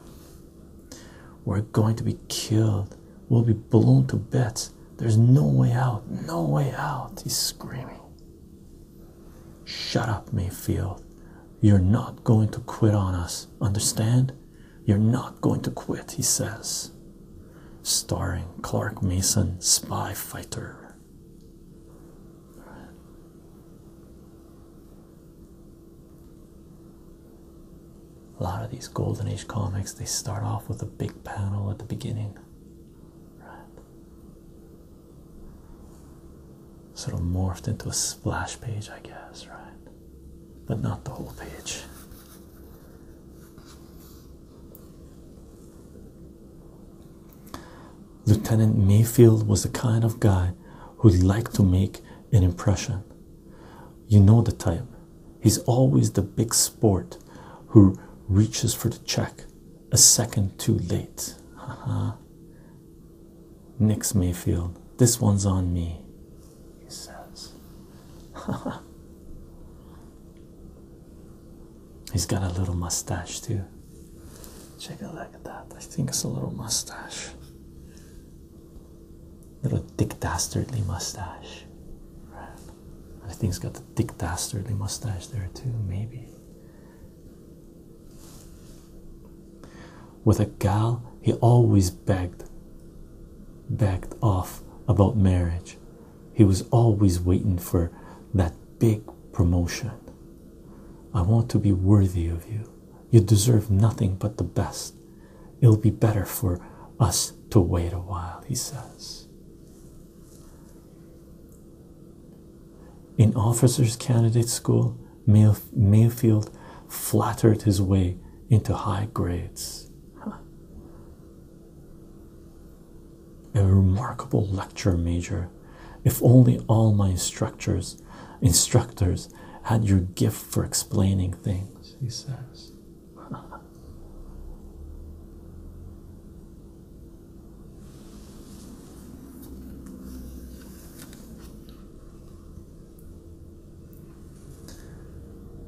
We're going to be killed. We'll be blown to bits. There's no way out. No way out. He's screaming. Shut up, Mayfield. You're not going to quit on us. Understand? You're not going to quit, he says. Starring Clark Mason, spy fighter. A lot of these Golden Age comics, they start off with a big panel at the beginning. Right. Sort of morphed into a splash page, I guess, right? But not the whole page. Lieutenant Mayfield was the kind of guy who liked to make an impression. You know the type. He's always the big sport who reaches for the check a second too late. Haha. Nick's Mayfield, this one's on me, he says. Haha. He's got a little mustache too. Check a look that. I think it's a little mustache. Little dick dastardly mustache. I think he's got a thick, Dastardly mustache there too, maybe. With a gal, he always begged, begged off about marriage. He was always waiting for that big promotion. I want to be worthy of you. You deserve nothing but the best. It'll be better for us to wait a while, he says. In officers' candidate school, Mayfield flattered his way into high grades. A remarkable lecture major. If only all my instructors, instructors had your gift for explaining things, he says.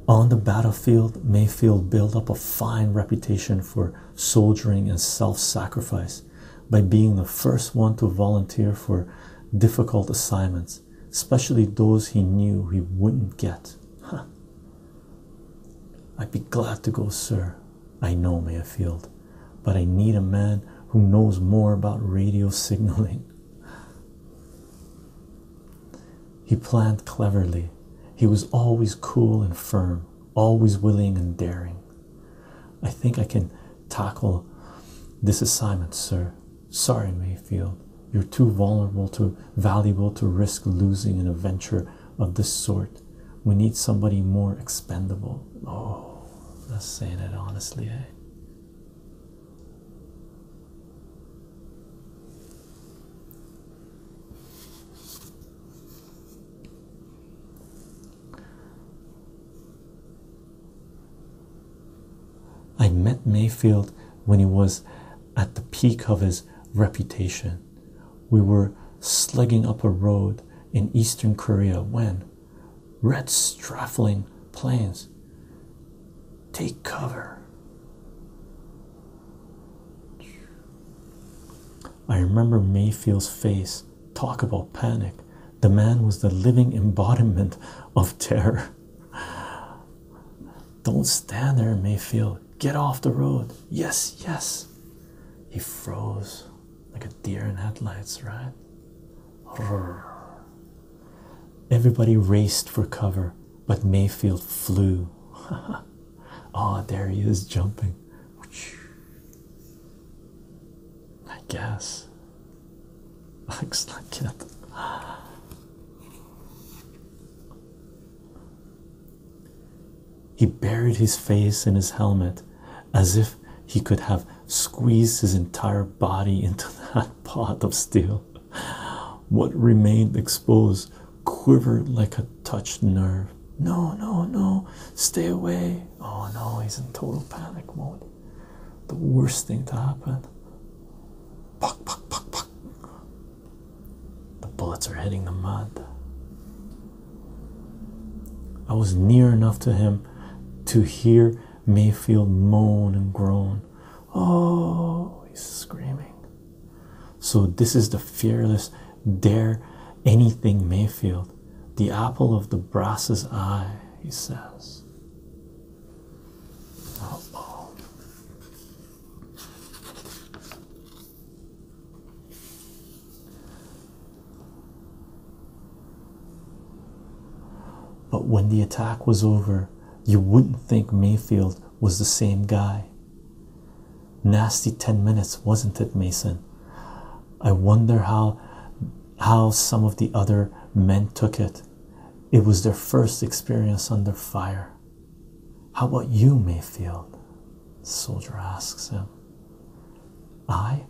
On the battlefield, Mayfield built up a fine reputation for soldiering and self sacrifice by being the first one to volunteer for difficult assignments, especially those he knew he wouldn't get. I'd be glad to go, sir. I know Mayfield, but I need a man who knows more about radio signaling. He planned cleverly. He was always cool and firm, always willing and daring. I think I can tackle this assignment, sir. Sorry, Mayfield. You're too vulnerable, too valuable to risk losing in a venture of this sort. We need somebody more expendable. Oh, that's saying it honestly, eh? I met Mayfield when he was at the peak of his reputation we were slugging up a road in eastern Korea when red strafing planes take cover. I remember Mayfield's face. Talk about panic. The man was the living embodiment of terror. Don't stand there, Mayfield. Get off the road. Yes, yes. He froze like a deer in headlights, right? Everybody raced for cover, but Mayfield flew. oh, there he is jumping. I guess. Looks not it. He buried his face in his helmet as if he could have squeezed his entire body into that pot of steel. What remained exposed quivered like a touched nerve. No, no, no, stay away. Oh no, he's in total panic mode. The worst thing to happen. Puck, puck, puck, puck. The bullets are hitting the mud. I was near enough to him to hear Mayfield moan and groan. Oh, he's screaming. So, this is the fearless, dare anything Mayfield, the apple of the brass's eye, he says. oh. oh. But when the attack was over, you wouldn't think Mayfield was the same guy. Nasty 10 minutes, wasn't it, Mason? I wonder how how some of the other men took it. It was their first experience under fire. How about you, Mayfield? The soldier asks him. I?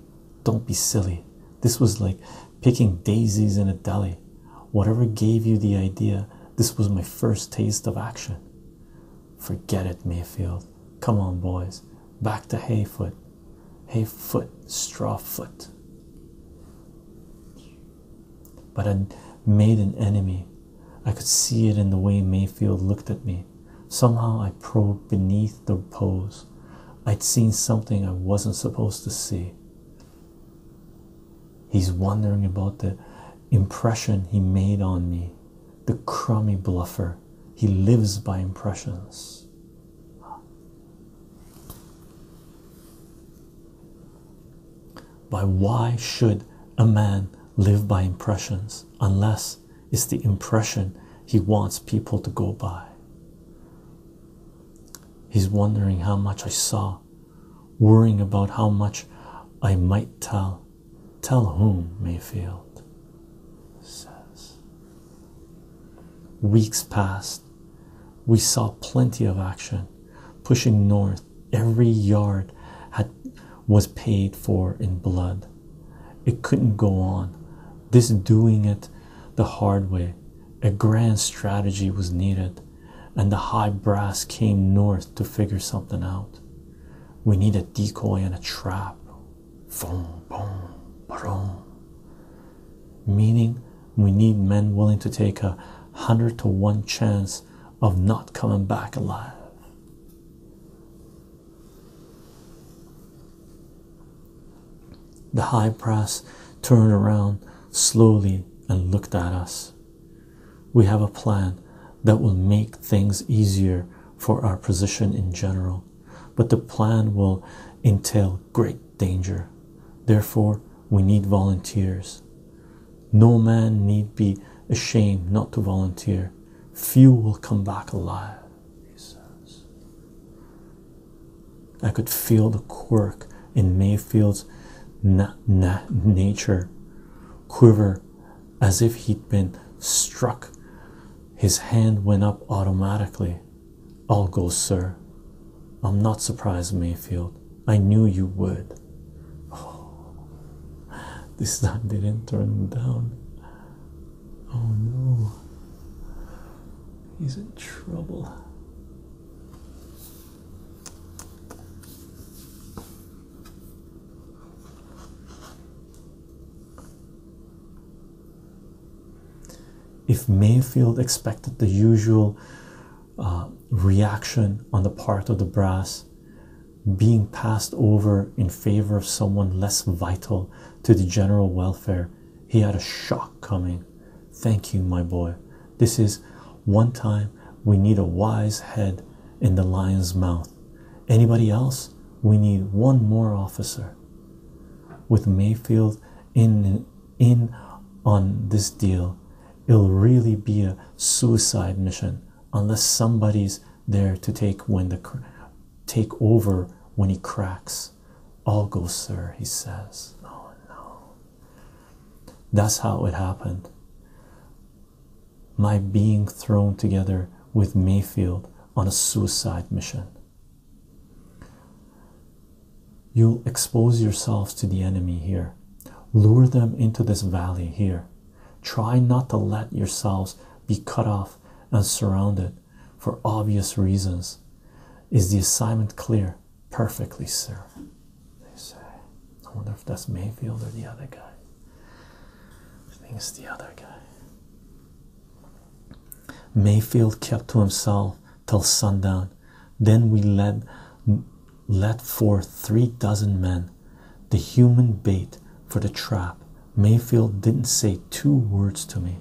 Don't be silly. This was like picking daisies in a deli. Whatever gave you the idea, this was my first taste of action. Forget it, Mayfield. Come on, boys. Back to Hayfoot. Hayfoot, Strawfoot. But I made an enemy I could see it in the way Mayfield looked at me. Somehow I probed beneath the pose. I'd seen something I wasn't supposed to see. He's wondering about the impression he made on me, the crummy bluffer. He lives by impressions. By why should a man live by impressions unless it's the impression he wants people to go by he's wondering how much i saw worrying about how much i might tell tell whom mayfield says weeks passed we saw plenty of action pushing north every yard had was paid for in blood. It couldn't go on. This doing it the hard way. A grand strategy was needed, and the high brass came north to figure something out. We need a decoy and a trap. Boom, boom, boom. Meaning, we need men willing to take a hundred to one chance of not coming back alive. The high brass turned around slowly and looked at us. We have a plan that will make things easier for our position in general, but the plan will entail great danger. Therefore, we need volunteers. No man need be ashamed not to volunteer. Few will come back alive, he says. I could feel the quirk in Mayfield's na na nature quiver as if he'd been struck. His hand went up automatically. I'll go, sir. I'm not surprised, Mayfield. I knew you would. Oh, this time didn't turn down. Oh no. He's in trouble. If Mayfield expected the usual uh, reaction on the part of the brass, being passed over in favor of someone less vital to the general welfare. He had a shock coming. Thank you, my boy. This is one time we need a wise head in the lion's mouth. Anybody else? We need one more officer. With Mayfield in, in on this deal, it'll really be a suicide mission unless somebody's there to take when the take over when he cracks. I'll go, sir, he says. Oh no. That's how it happened. My being thrown together with Mayfield on a suicide mission. You'll expose yourselves to the enemy here, lure them into this valley here. Try not to let yourselves be cut off and surrounded for obvious reasons. Is the assignment clear? Perfectly, sir. They say. I wonder if that's Mayfield or the other guy. I think it's the other guy. Mayfield kept to himself till sundown. Then we led, led forth three dozen men the human bait for the trap. Mayfield didn't say two words to me.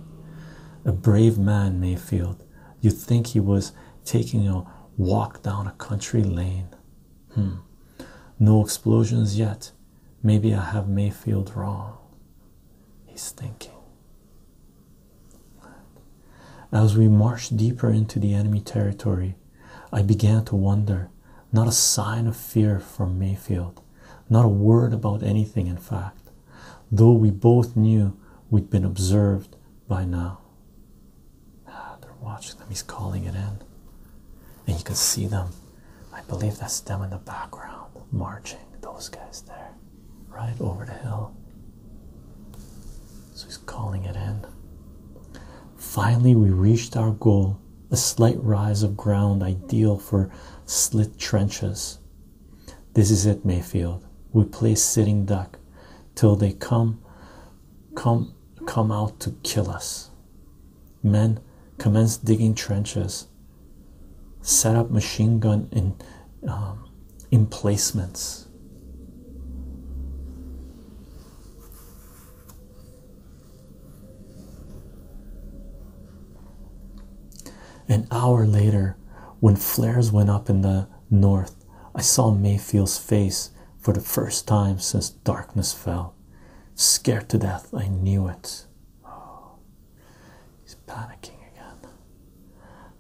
A brave man, Mayfield. You'd think he was taking a walk down a country lane. Hmm. No explosions yet. Maybe I have Mayfield wrong. He's thinking. As we marched deeper into the enemy territory, I began to wonder. Not a sign of fear from Mayfield. Not a word about anything, in fact, though we both knew we'd been observed by now. Ah, they're watching them, he's calling it in. And you can see them. I believe that's them in the background, marching, those guys there, right over the hill. So he's calling it in. Finally, we reached our goal a slight rise of ground ideal for slit trenches. This is it, Mayfield. We play sitting duck till they come come come out to kill us. Men commence digging trenches, set up machine gun in um, emplacements. An hour later, when flares went up in the north, I saw Mayfield's face for the first time since darkness fell. Scared to death, I knew it. Oh, he's panicking again.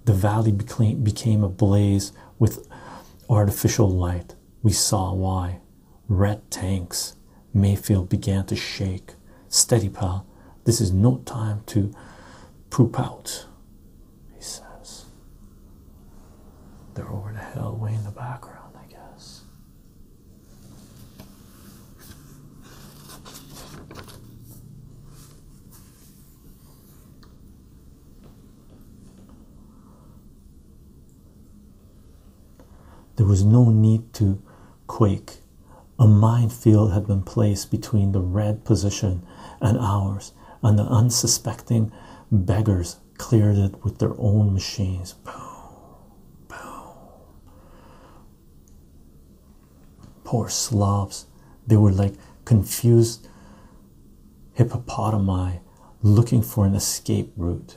The valley became, became ablaze with artificial light. We saw why. Red tanks. Mayfield began to shake. Steady, pal. This is no time to poop out, he says. They're over the hill, way in the background, I guess. There was no need to quake. A minefield had been placed between the red position and ours, and the unsuspecting beggars cleared it with their own machines. Boom, boom. Poor slobs. They were like confused hippopotami looking for an escape route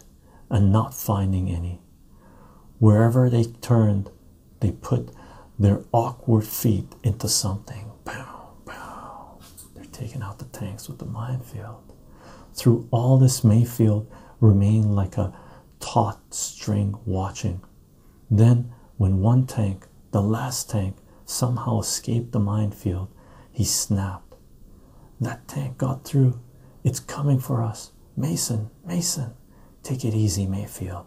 and not finding any. Wherever they turned, they put their awkward feet into something. Pow, pow. They're taking out the tanks with the minefield. Through all this, Mayfield remained like a taut string watching. Then, when one tank, the last tank, somehow escaped the minefield, he snapped. That tank got through. It's coming for us. Mason, Mason, Take it easy, Mayfield.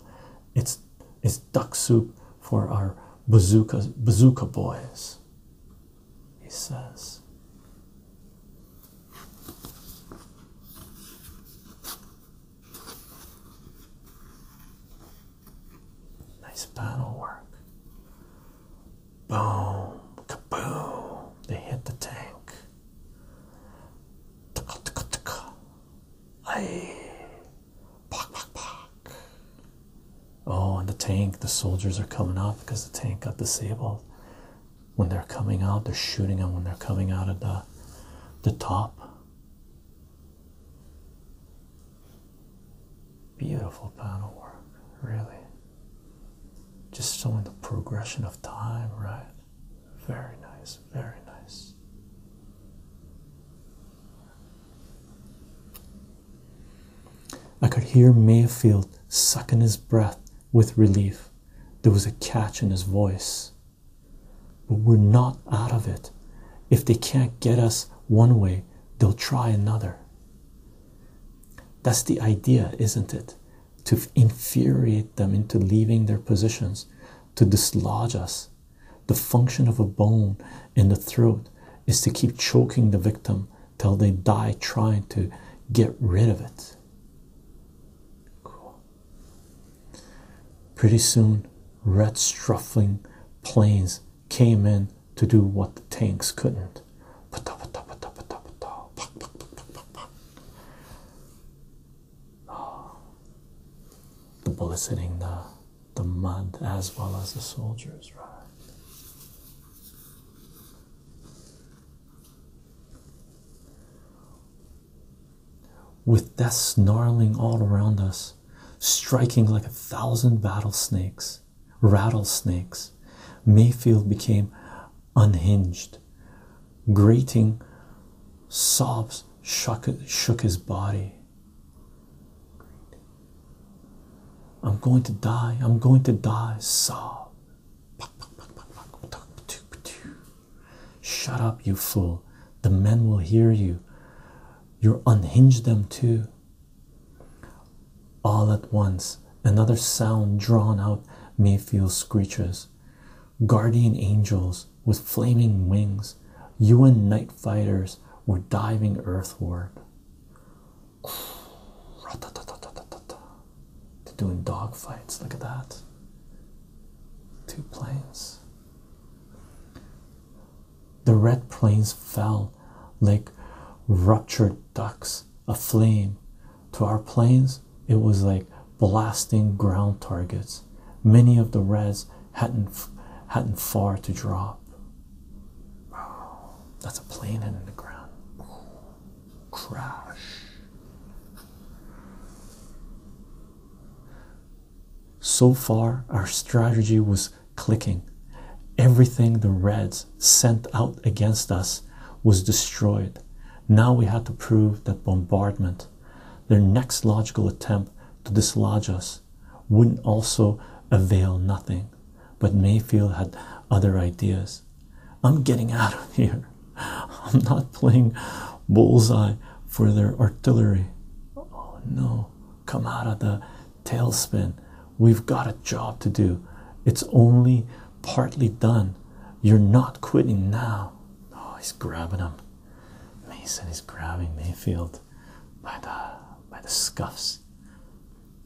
It's it's duck soup for our bazooka bazooka boys. He says. Nice battle work. Boom, kaboom! They hit the tank. Ticka, ticka, ticka. Aye. Pock, pock, pock. Oh, and the tank, the soldiers are coming out because the tank got disabled. When they're coming out, they're shooting them when they're coming out of the the top. Beautiful panel work, really. Just showing the progression of time, right? Very nice, very nice. I could hear Mayfield sucking his breath with relief. There was a catch in his voice. But we're not out of it. If they can't get us one way, they'll try another. That's the idea, isn't it? to infuriate them into leaving their positions, to dislodge us. The function of a bone in the throat is to keep choking the victim till they die trying to get rid of it. Pretty soon, red struffling planes came in to do what the tanks couldn't. The bullets hitting the the mud as well as the soldiers, right? With death snarling all around us, striking like a thousand battle snakes, rattlesnakes, Mayfield became unhinged. Grating sobs shook, shook his body. I'm going to die. I'm going to die. Sob. Shut up, you fool. The men will hear you. You unhinge them too. All at once, another sound drawn out Mayfield's screeches. Guardian angels with flaming wings, UN night fighters were diving earthward. They're doing dogfights, look at that. Two planes. The red planes fell like ruptured ducks a flame to our planes it was like blasting ground targets many of the reds hadn't hadn't far to drop that's a plane in the ground crash so far our strategy was clicking everything the reds sent out against us was destroyed now we had to prove that bombardment, their next logical attempt to dislodge us, wouldn't also avail nothing. But Mayfield had other ideas. I'm getting out of here. I'm not playing bullseye for their artillery. Oh no, come out of the tailspin. We've got a job to do. It's only partly done. You're not quitting now. Oh, he's grabbing him. Mason is grabbing Mayfield by the by the scuffs.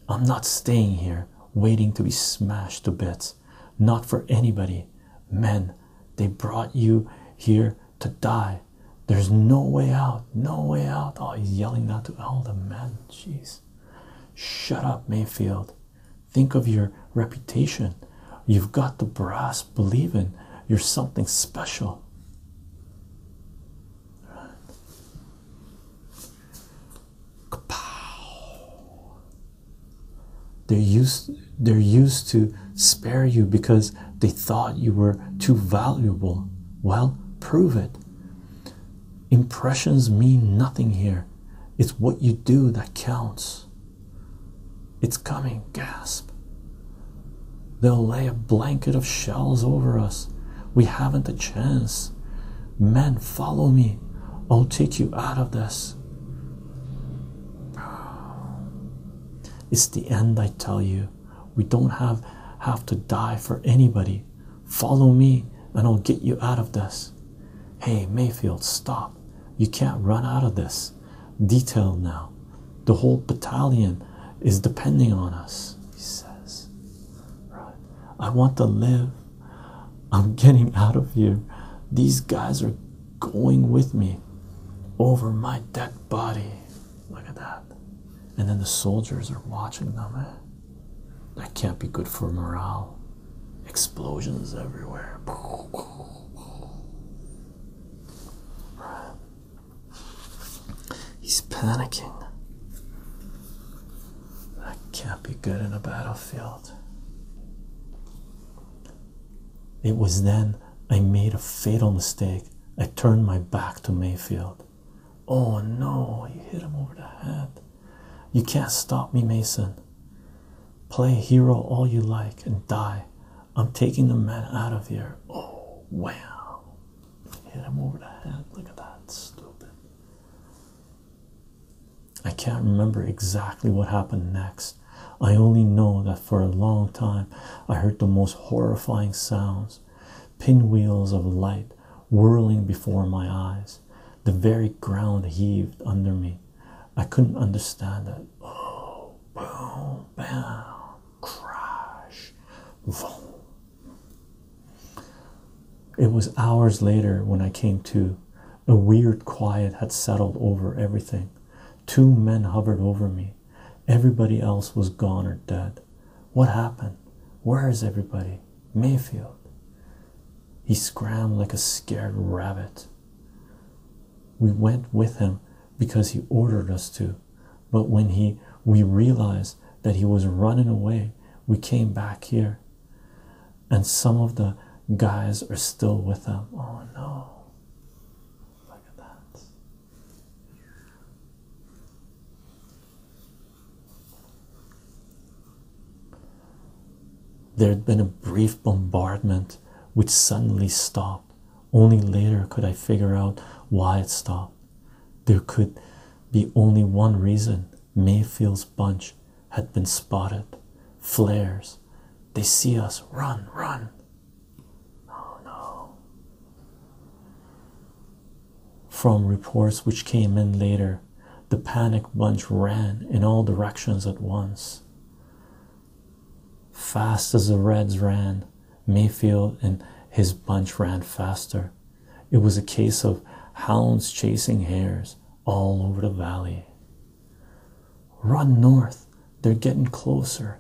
I'm not staying here waiting to be smashed to bits. Not for anybody. Men, they brought you here to die. There's no way out. No way out. Oh, he's yelling that to all the men. Jeez. Shut up, Mayfield. Think of your reputation. You've got the brass Believe in you're something special. They're used, they're used to spare you because they thought you were too valuable. Well, prove it. Impressions mean nothing here. It's what you do that counts. It's coming, gasp. They'll lay a blanket of shells over us. We haven't a chance. Men, follow me. I'll take you out of this. It's the end, I tell you. We don't have, have to die for anybody. Follow me, and I'll get you out of this. Hey, Mayfield, stop. You can't run out of this. Detail now. The whole battalion is depending on us, he says. Right. I want to live. I'm getting out of here. These guys are going with me over my dead body. Look at that. And then the soldiers are watching them. Eh? That can't be good for morale explosions everywhere. He's panicking. That can't be good in a battlefield. It was then I made a fatal mistake. I turned my back to Mayfield. Oh no, You hit him over the head. You can't stop me, Mason. Play hero all you like and die. I'm taking the man out of here. Oh, wow. Hit him over the head. Look at that. Stupid. I can't remember exactly what happened next. I only know that for a long time I heard the most horrifying sounds pinwheels of light whirling before my eyes. The very ground heaved under me. I couldn't understand it. Oh, boom, bam, crash, boom. It was hours later when I came to. A weird quiet had settled over everything. Two men hovered over me. Everybody else was gone or dead. What happened? Where is everybody? Mayfield. He scrambled like a scared rabbit. We went with him because he ordered us to, but when he we realized that he was running away, we came back here. And some of the guys are still with him. Oh no. Look at that. There had been a brief bombardment which suddenly stopped. Only later could I figure out why it stopped. There could be only one reason Mayfield's bunch had been spotted. Flares. They see us. Run, run. Oh no. From reports which came in later, the panic bunch ran in all directions at once. Fast as the Reds ran, Mayfield and his bunch ran faster. It was a case of hounds chasing hares all over the valley. Run north, they're getting closer.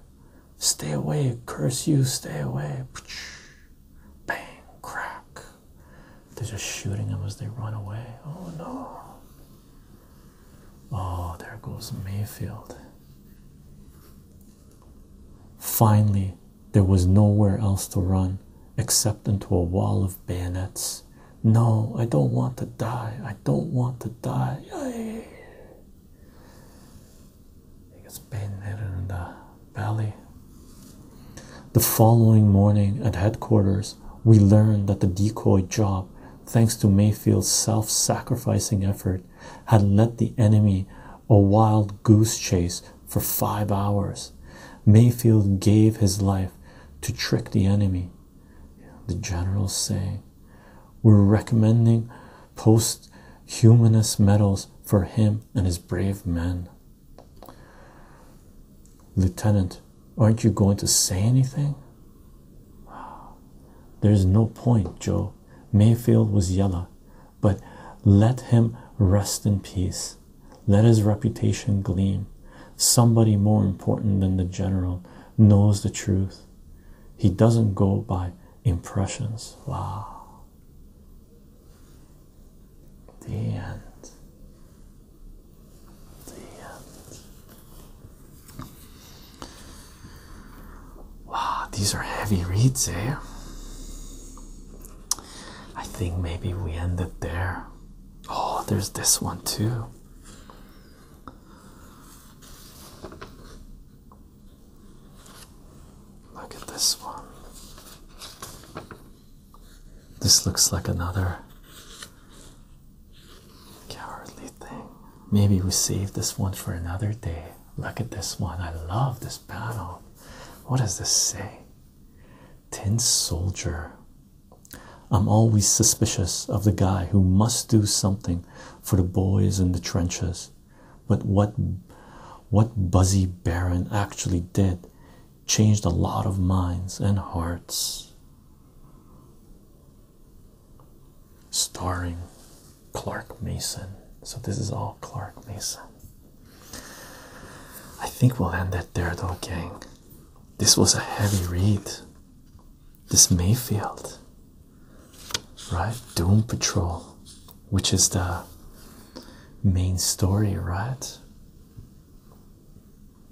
Stay away, curse you, stay away. Bang, crack. They're just shooting them as they run away. Oh no. Oh, there goes Mayfield. Finally, there was nowhere else to run except into a wall of bayonets. No, I don't want to die. I don't want to die. Yay. He gets in the belly. The following morning at headquarters, we learned that the decoy job thanks to Mayfield's self sacrificing effort, had led the enemy a wild goose chase for five hours. Mayfield gave his life to trick the enemy. The generals say We're recommending posthumous medals for him and his brave men. Lieutenant Aren't you going to say anything? There's no point, Joe. Mayfield was yellow, but let him rest in peace. Let his reputation gleam. Somebody more important than the general knows the truth. He doesn't go by impressions. Wow. The end. Wow, these are heavy reads, eh? I think maybe we ended there. Oh, there's this one too. Look at this one. This looks like another Cowardly thing. Maybe we save this one for another day. Look at this one. I love this panel. What does this say? Tin Soldier. I'm always suspicious of the guy who must do something for the boys in the trenches. But what what Buzzy Baron actually did changed a lot of minds and hearts starring Clark Mason. So, this is all Clark Mason. I think we'll end it there, though, gang. This was a heavy read. This Mayfield, right? Doom Patrol, which is the main story, right?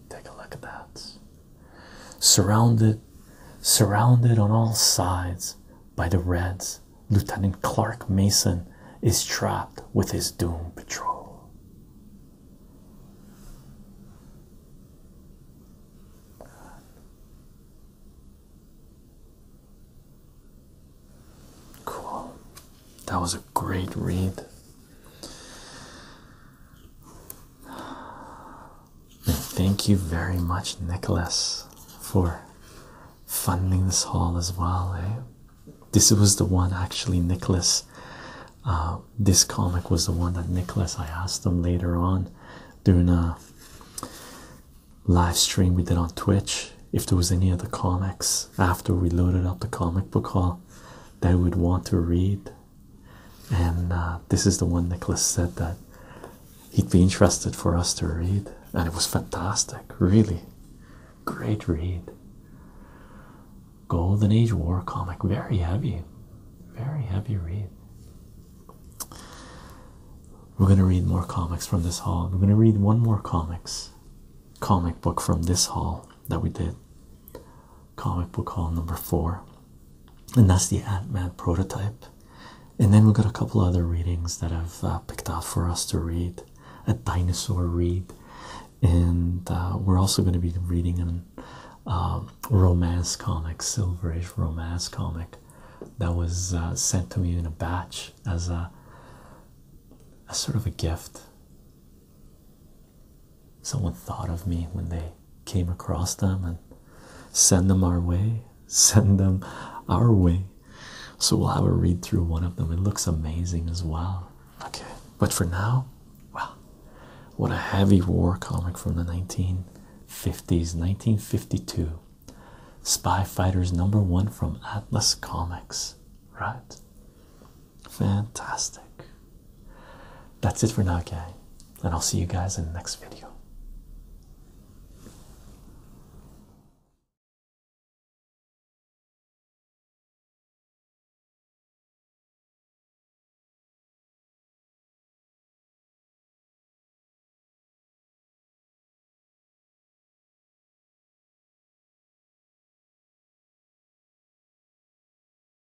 Take a look at that. Surrounded, surrounded on all sides by the Reds, Lieutenant Clark Mason is trapped with his doom patrol. Cool. That was a great read thank you very much, Nicholas, for funding this haul as well. Eh? This was the one actually, Nicholas. Uh, this comic was the one that Nicholas, I asked him later on during a live stream we did on Twitch if there was any of the comics after we loaded up the comic book haul that I would want to read and uh, this is the one Nicholas said that he'd be interested for us to read, and it was fantastic, really great read. Golden Age War comic, very heavy, very heavy read. We're gonna read more comics from this hall. We're gonna read one more comics comic book from this hall that we did comic book haul number four and that's the ant-man prototype and then we've got a couple other readings that i've uh, picked out for us to read a dinosaur read and uh, we're also going to be reading an um, romance comic silver age romance comic that was uh, sent to me in a batch as a, a sort of a gift someone thought of me when they came across them and send them our way, send them our way. So we'll have a read through one of them. It looks amazing as well. Okay, but for now, wow, what a heavy war comic from the 1950s, 1952. Spy Fighters number one from Atlas Comics, right? Fantastic. That's it for now, guys, and I'll see you guys in the next video.